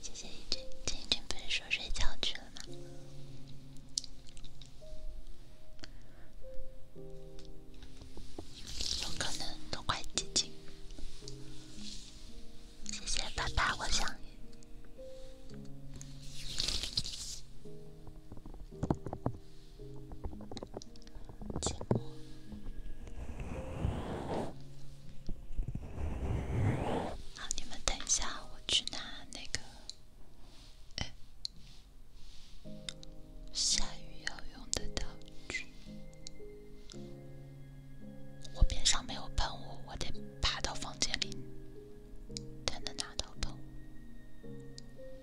谢谢一俊，一俊不是说睡觉去了吗？有可能都快寂静。谢谢爸爸，我相遇。好，你们等一下，我去拿那个下雨要用的道具。我边上没有喷雾，我得爬到房间里才能拿到喷雾。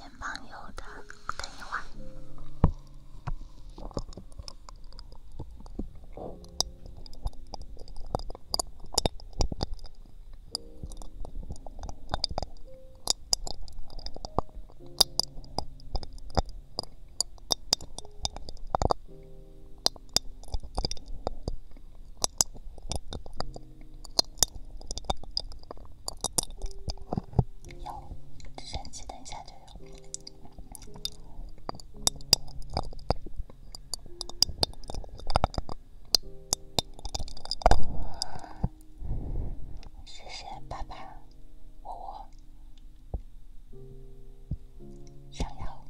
面包油的，等一会儿。有，直升机，等一下就有。谢谢爸爸，我。窝。想要？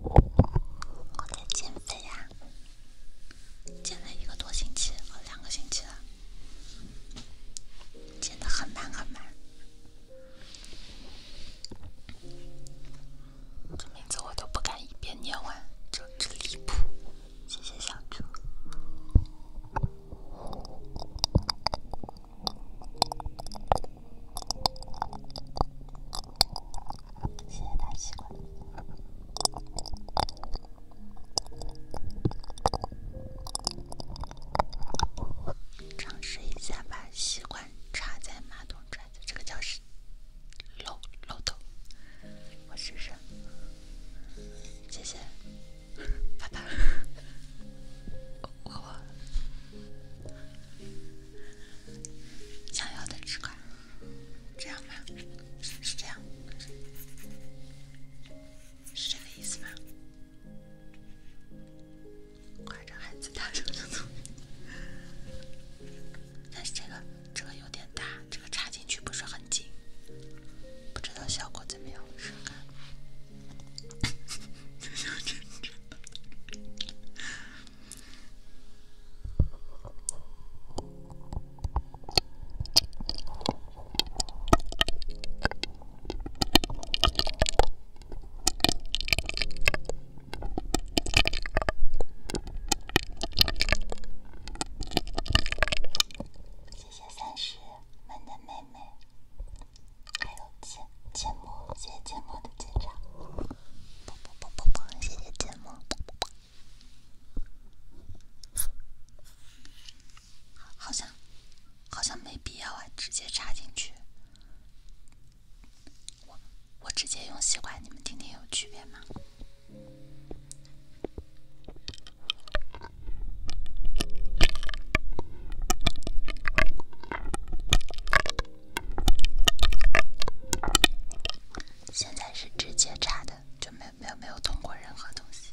我在减肥呀，减了一个多星期两个星期了，减的很慢很慢。这名字我都不敢一遍念完，这真离谱！谢谢小猪，谢谢大习惯，尝试一下把习惯插在马桶爪子，这个叫什么？漏漏头，我试试。谢谢，爸爸，我我想要的这块，这样吧？是这样，是这个意思吗？快让孩子大声熊走。但是这个，这个有点大，这个插进去不是很紧，不知道效果怎么样，试看。[laughs]
谢谢三十门的妹妹，还有简简谢谢简木的检查。不不不不不，谢谢简木。
好像好像没必要啊，直接插进去。我我直接用吸管，你们听听有区别吗？现在是直接插的，就没有没有没有通过任何东西。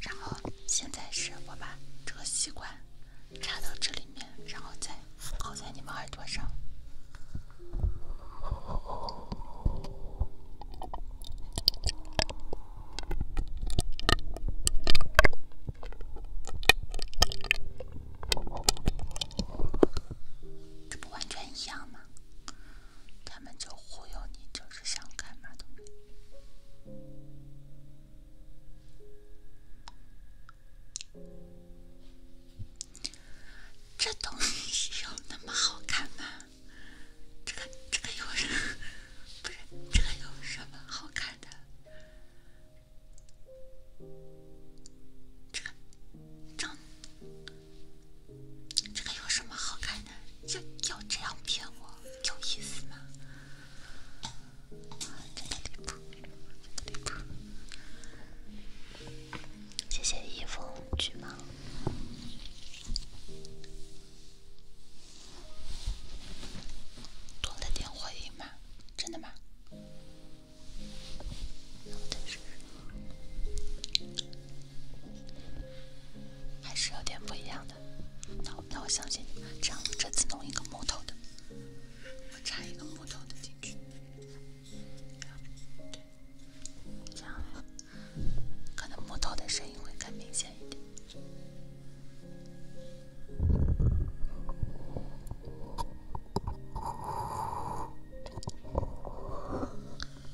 然后现在是我把这个吸管插到这里面，然后再靠在你们耳朵上，
这不完全一样吗？他们就忽悠你，就是。想看嘛东西？这东西有那么好看
吗？这个这个有什么？不是，这个有什么好看的？这个长？这个有什么好看的？就就这样骗我？有意思吗？谢谢一封巨忙，多了点回应吗？真的吗？还是有点不一样。的。那我那我相信你，这样我这次弄一个木头的，我插一个木头的进去，这样可能木头的声音会更明显一点，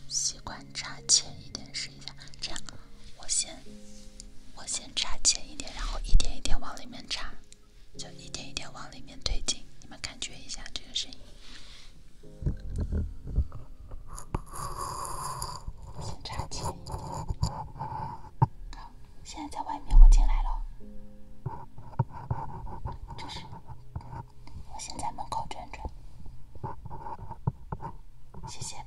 习惯插浅一点声。一下。这样，我先我先插浅一点，然后一点一点往里面插，就一点一点往里面推进。你们感觉一下这
个声音，先插浅一点。好，
现在在外面，我进来了。这是，我先在门口转转，谢谢。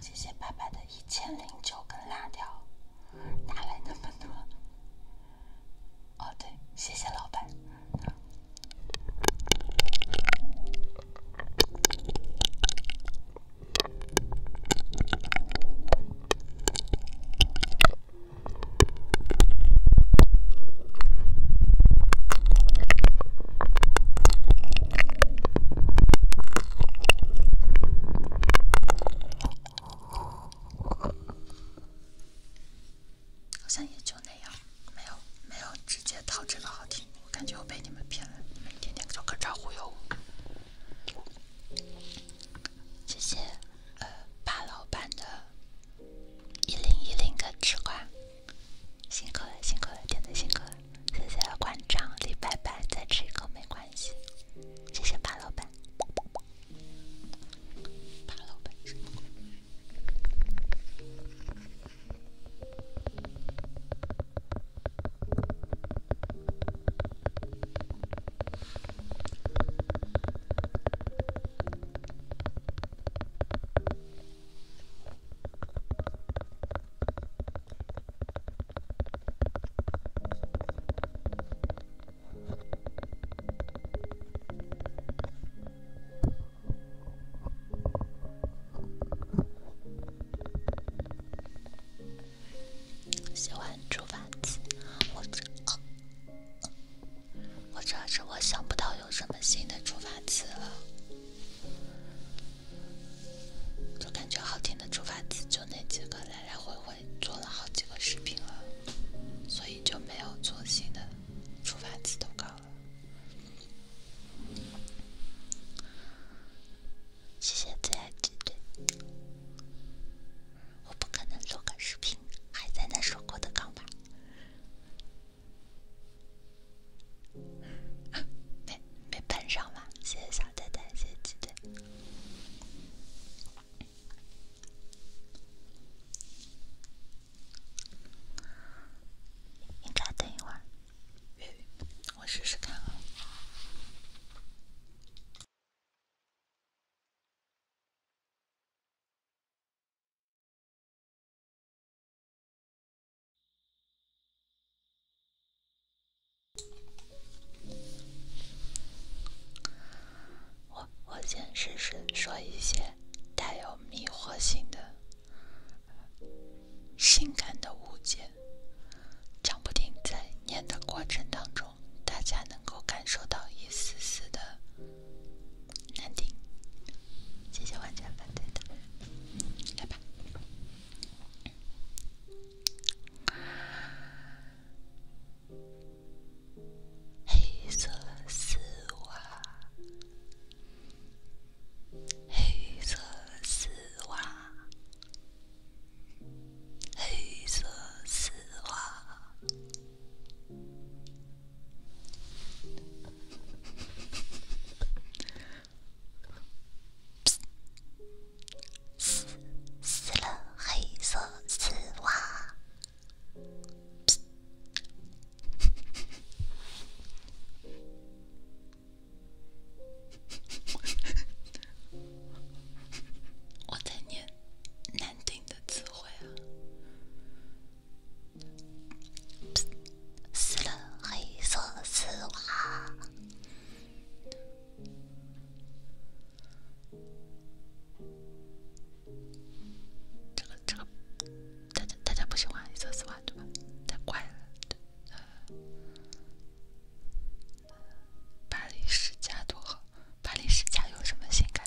谢谢爸爸的一千零九根辣条，哪来那么多？哦，对，谢谢老板。好像也就那样，没有没有，直接套这个好听，我感觉我被你们骗了，你们一天天就各种忽悠我，谢谢。呃，八老板的，一零一零个吃瓜，辛苦了，辛苦了，点赞辛苦了，谢谢观唱李白白，再吃一口没关系，谢谢八老板，八老板。喜欢煮饭吃，我。或者是我想不到有什么新的出发词了，就感觉好听的出发词就那几个，来来回回做了好几个视频了，所以就没有做新的出发词投稿了。谢谢最爱姐姐。我不可能录个视频还在那说过的岗吧。没没碰上吗？谢谢小太太，谢谢鸡腿。应该等一会儿，我试试看啊。我我先试试说一些带有迷惑性的、性感的物件，讲不定在念的过程当中，大家能够感受到一丝丝的。难听，谢谢完全反对的，来吧，黑色丝袜，黑色丝袜，黑色丝袜。撕了黑色丝袜。我在念难听的词汇啊。死了，黑色丝袜。这个这个，大家大家不喜欢黑色丝袜对吧？太怪了。巴黎世家多好，巴黎世家有什么性感？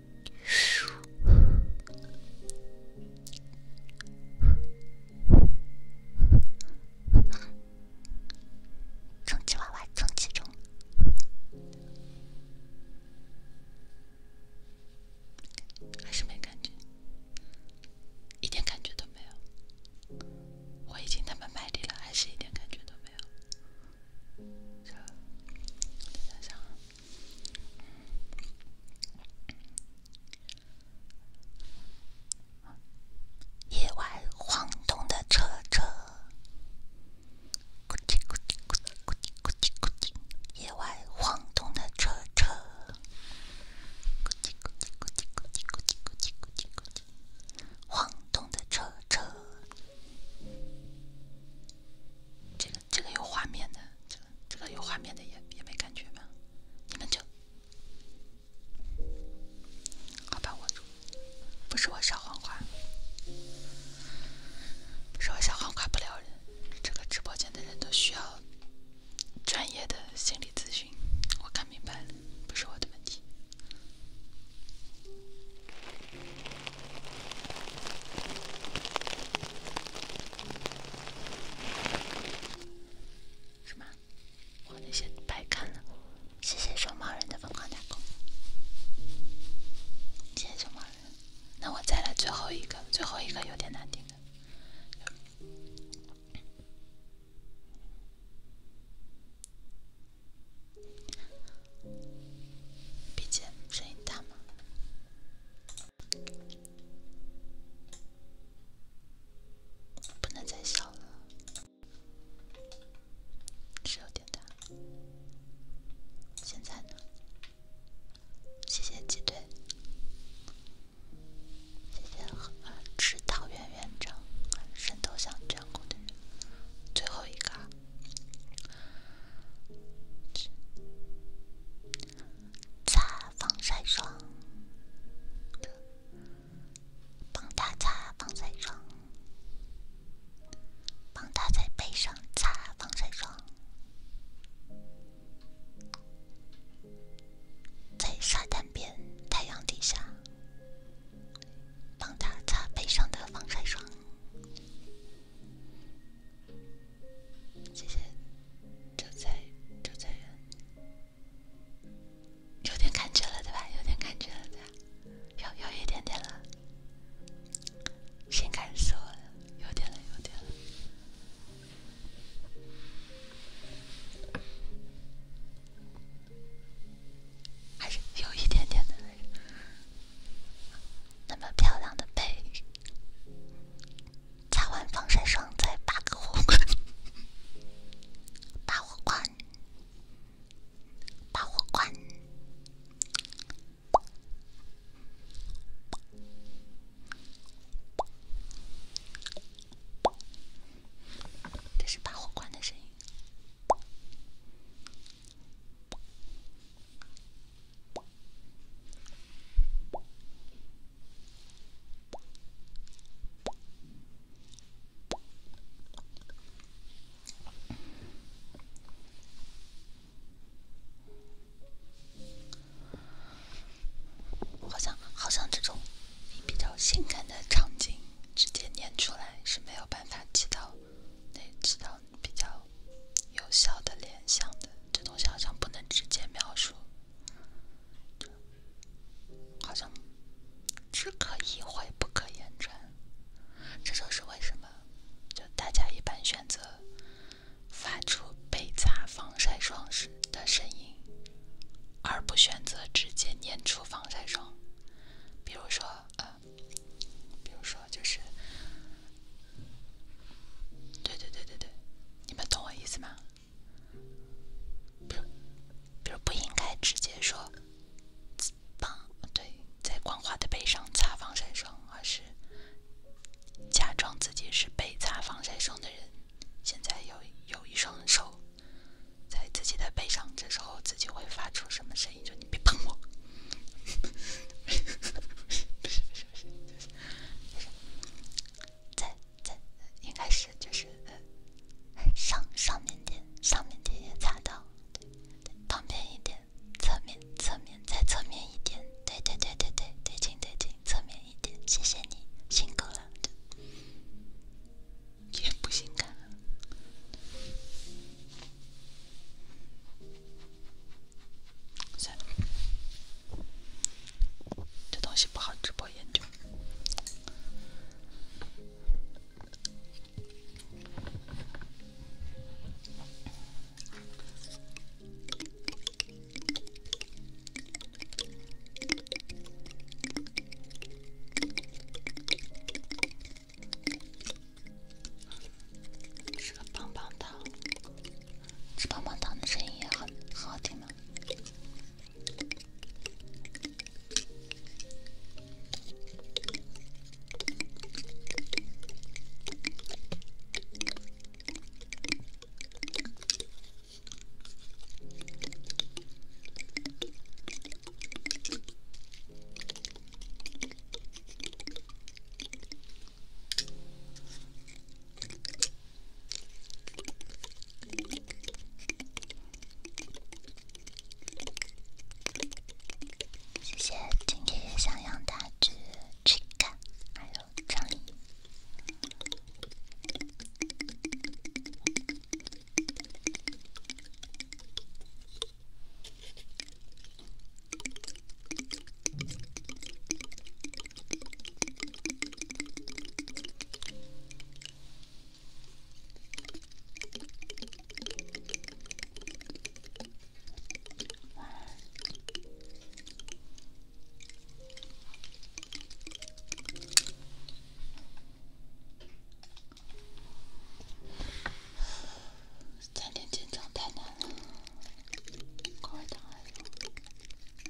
充气娃娃充气中，还是没感觉，一点感觉都没有。我已经那么卖力了，还是一点感觉都没有。野外晃动的车车，咕叽咕叽咕叽咕叽咕叽咕叽。野外晃动的车车，咕叽咕叽咕叽咕叽咕叽咕叽咕叽。晃动的车车。这个这个有画面的，这个这个有画面的也也没感觉吗？你们就好吧，我住不是我小黄瓜，不是我小黄瓜不撩人，这个直播间的人都需要专业的心理咨询，我看明白了，不是我的问题。什么？我那些白看了。谢谢熊猫人的疯狂打工，谢谢熊猫人。那我再来最后一个，最后一个有点难听的。BGM 声音大吗？不能再小了，是有点大。现在呢？谢谢鸡腿，谢谢指导员院长，神都想眷顾的人。最后一个。擦防晒霜，帮他擦防晒霜，帮他在背上擦防晒霜，在沙滩边、太阳底下，帮他擦背上的防晒霜。谢谢周在周在元，有点感觉了对吧？有点感觉了对吧？有有一点点了，心肝死我了，有点了有点了，还是有一点点的来着。那么漂亮的背，擦完防晒霜再拔火罐，拔火罐，拔火罐，这是拔火罐的声音。好像，好像这种比较性感的场景，直接念出来是没有办法起到那起到比较。有效的联想的这东西好像不能直接描述，好像只可意会不可言传。这就是为什么就大家一般选择发出被擦防晒霜时的声音，而不选择直接念出防晒霜。比如说呃，比如说就是。对对对对对，你们懂我意思吗？比如，比如不应该直接说“帮”，对，在光滑的背上擦防晒霜，而是假装自己是被擦防晒霜的人。现在有有一双手在自己的背上，这时候自己会发出什么声音？就你别碰我！不 [laughs] 不就是就是就是在在应该是就是呃上上面点上面点点擦到对对旁边一点侧面侧面再侧面一点对对对对对对近对近侧面一点谢谢你辛苦了也不辛苦。算了，这东西不好直播研究。吃个棒棒糖。吃棒棒糖的声音也很很好听呢。谢谢今天小羊大只 chicken，还有张丽。三天减重太难了，高热量。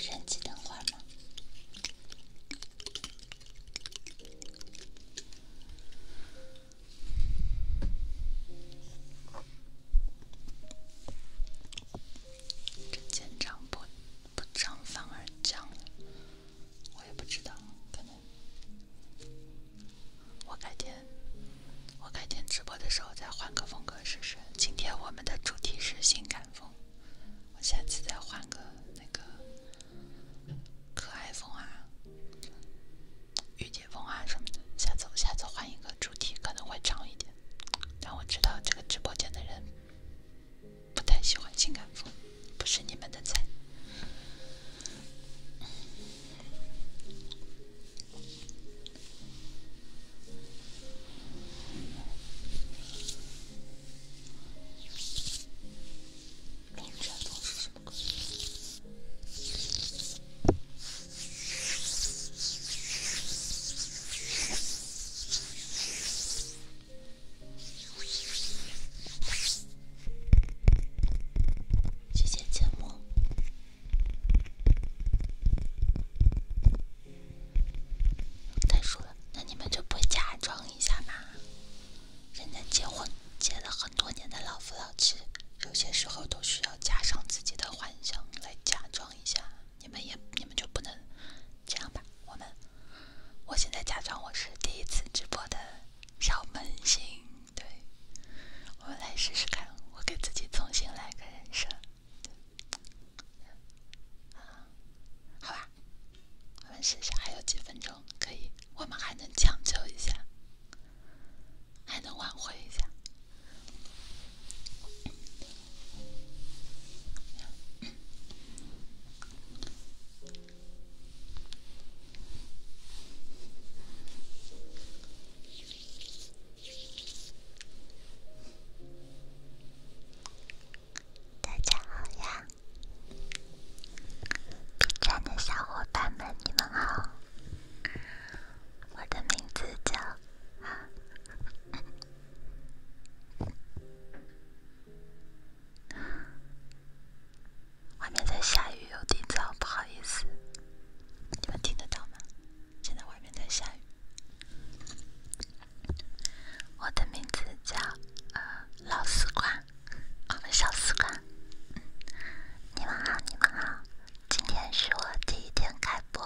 人机等会儿吗？这肩长不不长反而降了。我也不知道，可能我改天，我改天直播的时候再换个风格试试。今天我们的主题是性感风，我下次再换个那个可爱风啊、御姐风啊什么的。下次我下次换一个主题，可能会长一点。但我知道这个直播间的人不太喜欢性感风。不是你们的菜。这些节目太熟了，那你们就不假装一下吗？人家结婚结了很多年的老夫老妻，有些时候都需要加上自己的幻想来假装一下。你们也你们就不能这样吧？我们，我现在假装我是第一次直播的小萌新。对，我们来试试看，我给自己重新来个人设，好吧，我们试试，还有几分钟，可以，我们还能抢救一下，还能挽回一下。大家好呀，B 站的小伙伴们，你们好，我的名字叫。外面在下雨，有点早。不好意思，你们听得到吗？现在外面在下雨。我的名字叫老丝瓜，我们小丝瓜。你们好，你们好，今天是我第一天开播，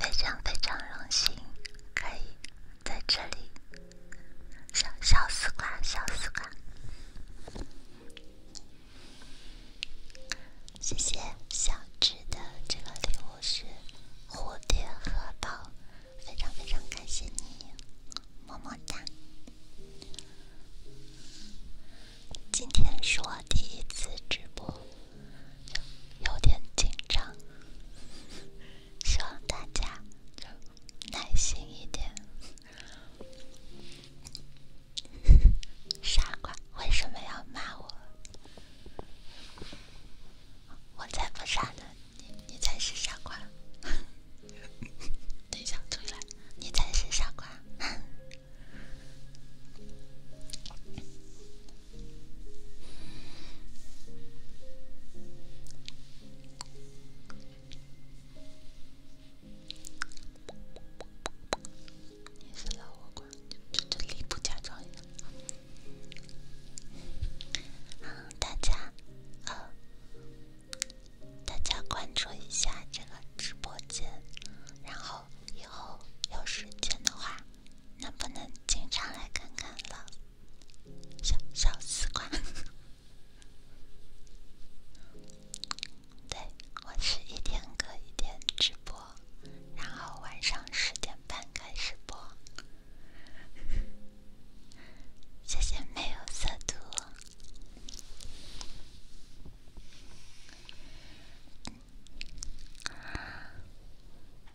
非常非常荣幸可以在这里。小小丝瓜，小丝瓜。谢谢小智的这个礼物是蝴蝶荷包，非常非常感谢你，么么哒！今天是我第一次直播，有点紧张，希望大家耐心一点。傻瓜，为什么要骂我？我才不傻呢，你你才是傻瓜。等一下，出来，你才是傻瓜。[laughs] 你是老黄瓜，就这里不假装一大家，呃，大家关注一下这个直播间，然后以后有时间的话，能不能经常来看看老小小丝瓜？对，我是一天隔一天直播，然后晚上十点半开始播。谢谢没有色度。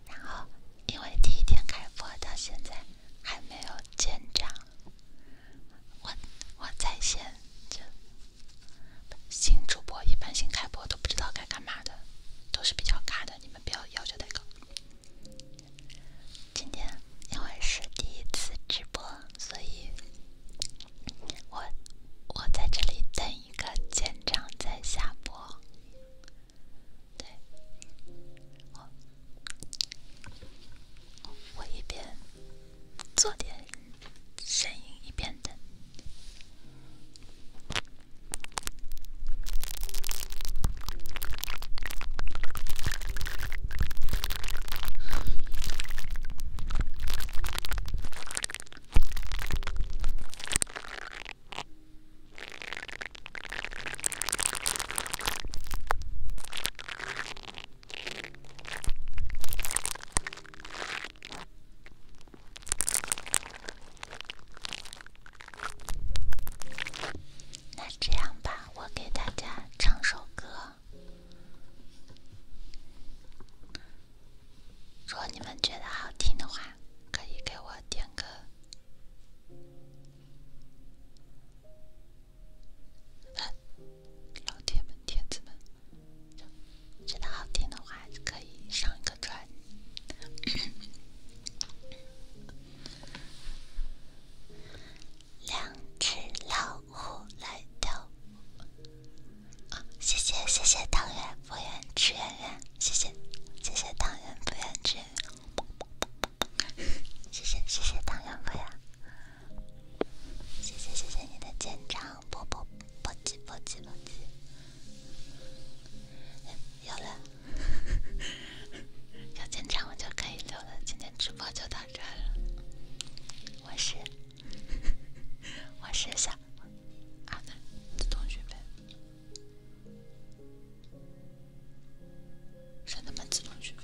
然后，因为第一天开播到现在还没有见长。我我在线，这新主播一般新开播都不知道该干嘛的，都是比较卡的，你们不要要求太高。今天因为是第一次直播，所以我我在这里等一个建厂再下播。对，我我一边。做点声音一边的。那这样吧，我给大家唱首歌。如果你们觉得好听的话，可以给我点个。老铁们，铁子们，觉得好听的话，可以上个钻。两只老虎来跳，谢谢谢谢唐元不元志元谢谢谢谢唐元不元志，谢谢谢谢唐元不元。谢谢谢谢你的见长，啵啵啵唧啵唧啵唧，[laughs] 有了，[laughs] 有见长我就可以溜了。今天直播就到这了，我是，我是小啊，那的同学呗，是他们自动区分。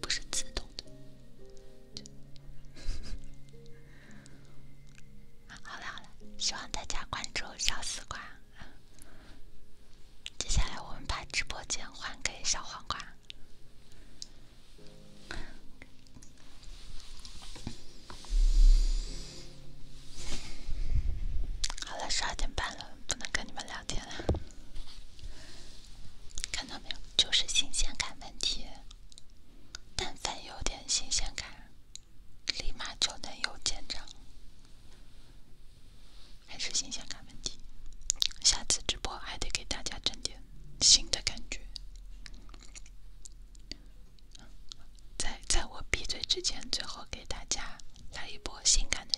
不是自动的。[laughs] 好了好了，希望大家关注小丝瓜。接下来我们把直播间还给小黄瓜。好了，十二点半了，不能跟你们聊。天呐，看到没有？就是新鲜感问题。但凡有点新鲜感，立马就能有增长。还是新鲜感问题。下次直播还得给大家整点新的感觉。在在我闭嘴之前，最后给大家来一波性感的。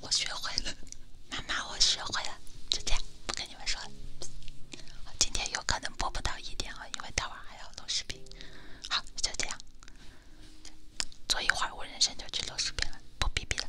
我学会了，妈妈，我学会了，就这样，不跟你们说了。今天有可能播不到一点了，因为待会还要录视频。好，就这样，坐一会我转身就去录视频了，不哔哔了。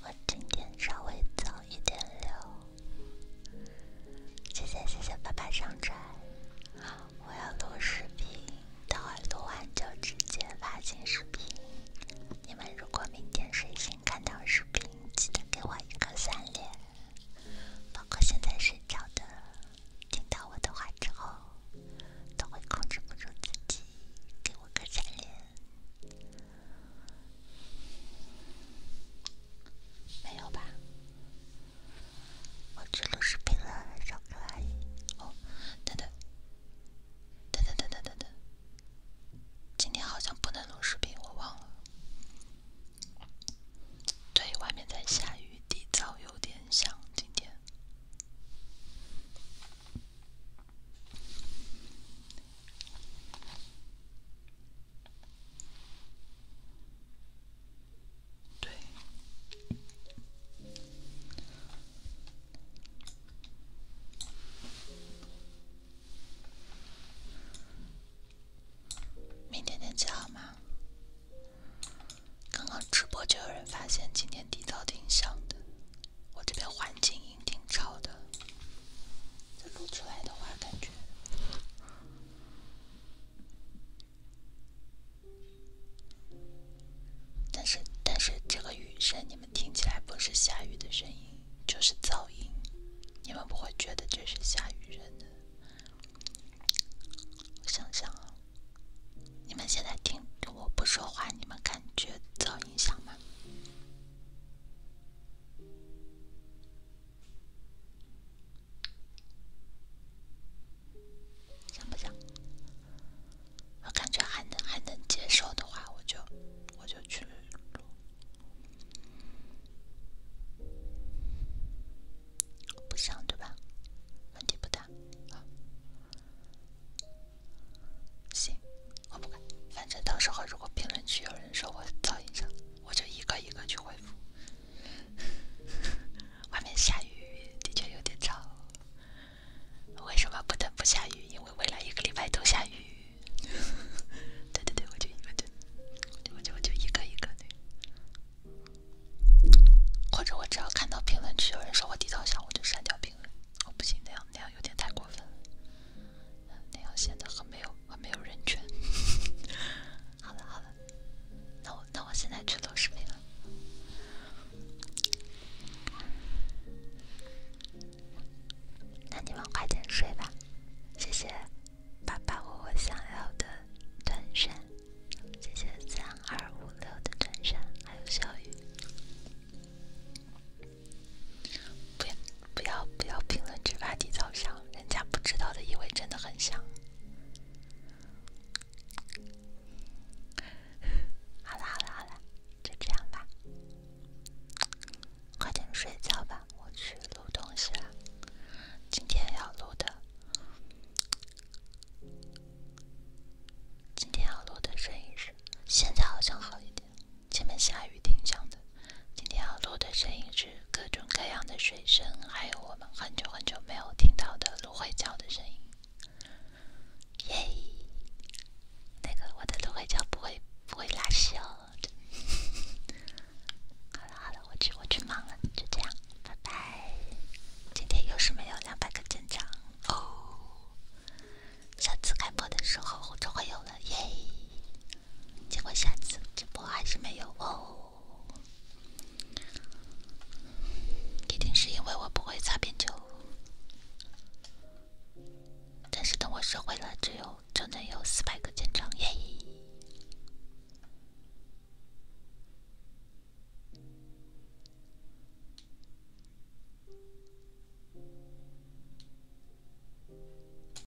我今天稍微早一点聊。谢谢谢谢爸爸上传，我要录视频，等会录完就直接发新视频。你们如果明天睡醒看到视频，记得给我一个三连，包括现在睡着的，听到我的话之后，都会控制不住自己，给我个三连。没有吧？我去录视频了，少可爱。哦，等等，等等等等等等，今天好像不能录视频，我忘了。对，外面在下雨，底噪有点响，今天。对，明天天气好吗？刚刚直播就有人发现今天底噪挺响的，我这边环境。挺吵的，再录出来的话，感觉。但是，但是这个雨声，你们听起来不是下雨的声音，就是噪音，你们不会觉得这是下雨声的。我想想啊，你们现在听着我不说话，你们感觉噪音响吗？像不像？我感觉还能还能接受的话，我就我就去录。不像对吧？问题不大。行，我不管，反正到时候如果评论区有人说我噪音大。我就一个一个去回复。外面下雨，的确有点吵。为什么不得不下雨？因为未来一个礼拜都下雨。[laughs] 对对对，我就一个对。我就我就一个一个对。或者我只要看到评论区有人说我低头笑，我就删掉评论。我不行，那样那样有点太过分了，那样显得很没有。我没有人权。好了好了，那我那我现在去做视频了。那你们快点睡吧，谢谢，爸爸，我五想要的短衫，谢谢三二五六的短衫，还有小雨。不要。不要不要评论区挖底早上人家不知道的以为真的很响。好了好了好了，就这样吧，快点睡觉吧，我去录东西了。今天要录的，今天要录的摄影是，现在好像好一点。前面下雨挺响的，今天要录的声音是各种各样的水声，还有我们很久很久没有听到的芦荟胶的声音。耶，那个我的芦荟胶不会不会拉稀哦。好了好了，我去我去忙了，就这样，拜拜。今天又是没有两百个增长哦，下次开播的时候就会有了耶。结果下次直播还是没有哦，一定是因为我不会擦边球。但是等我学会了，只有就能有四百个建厂耶。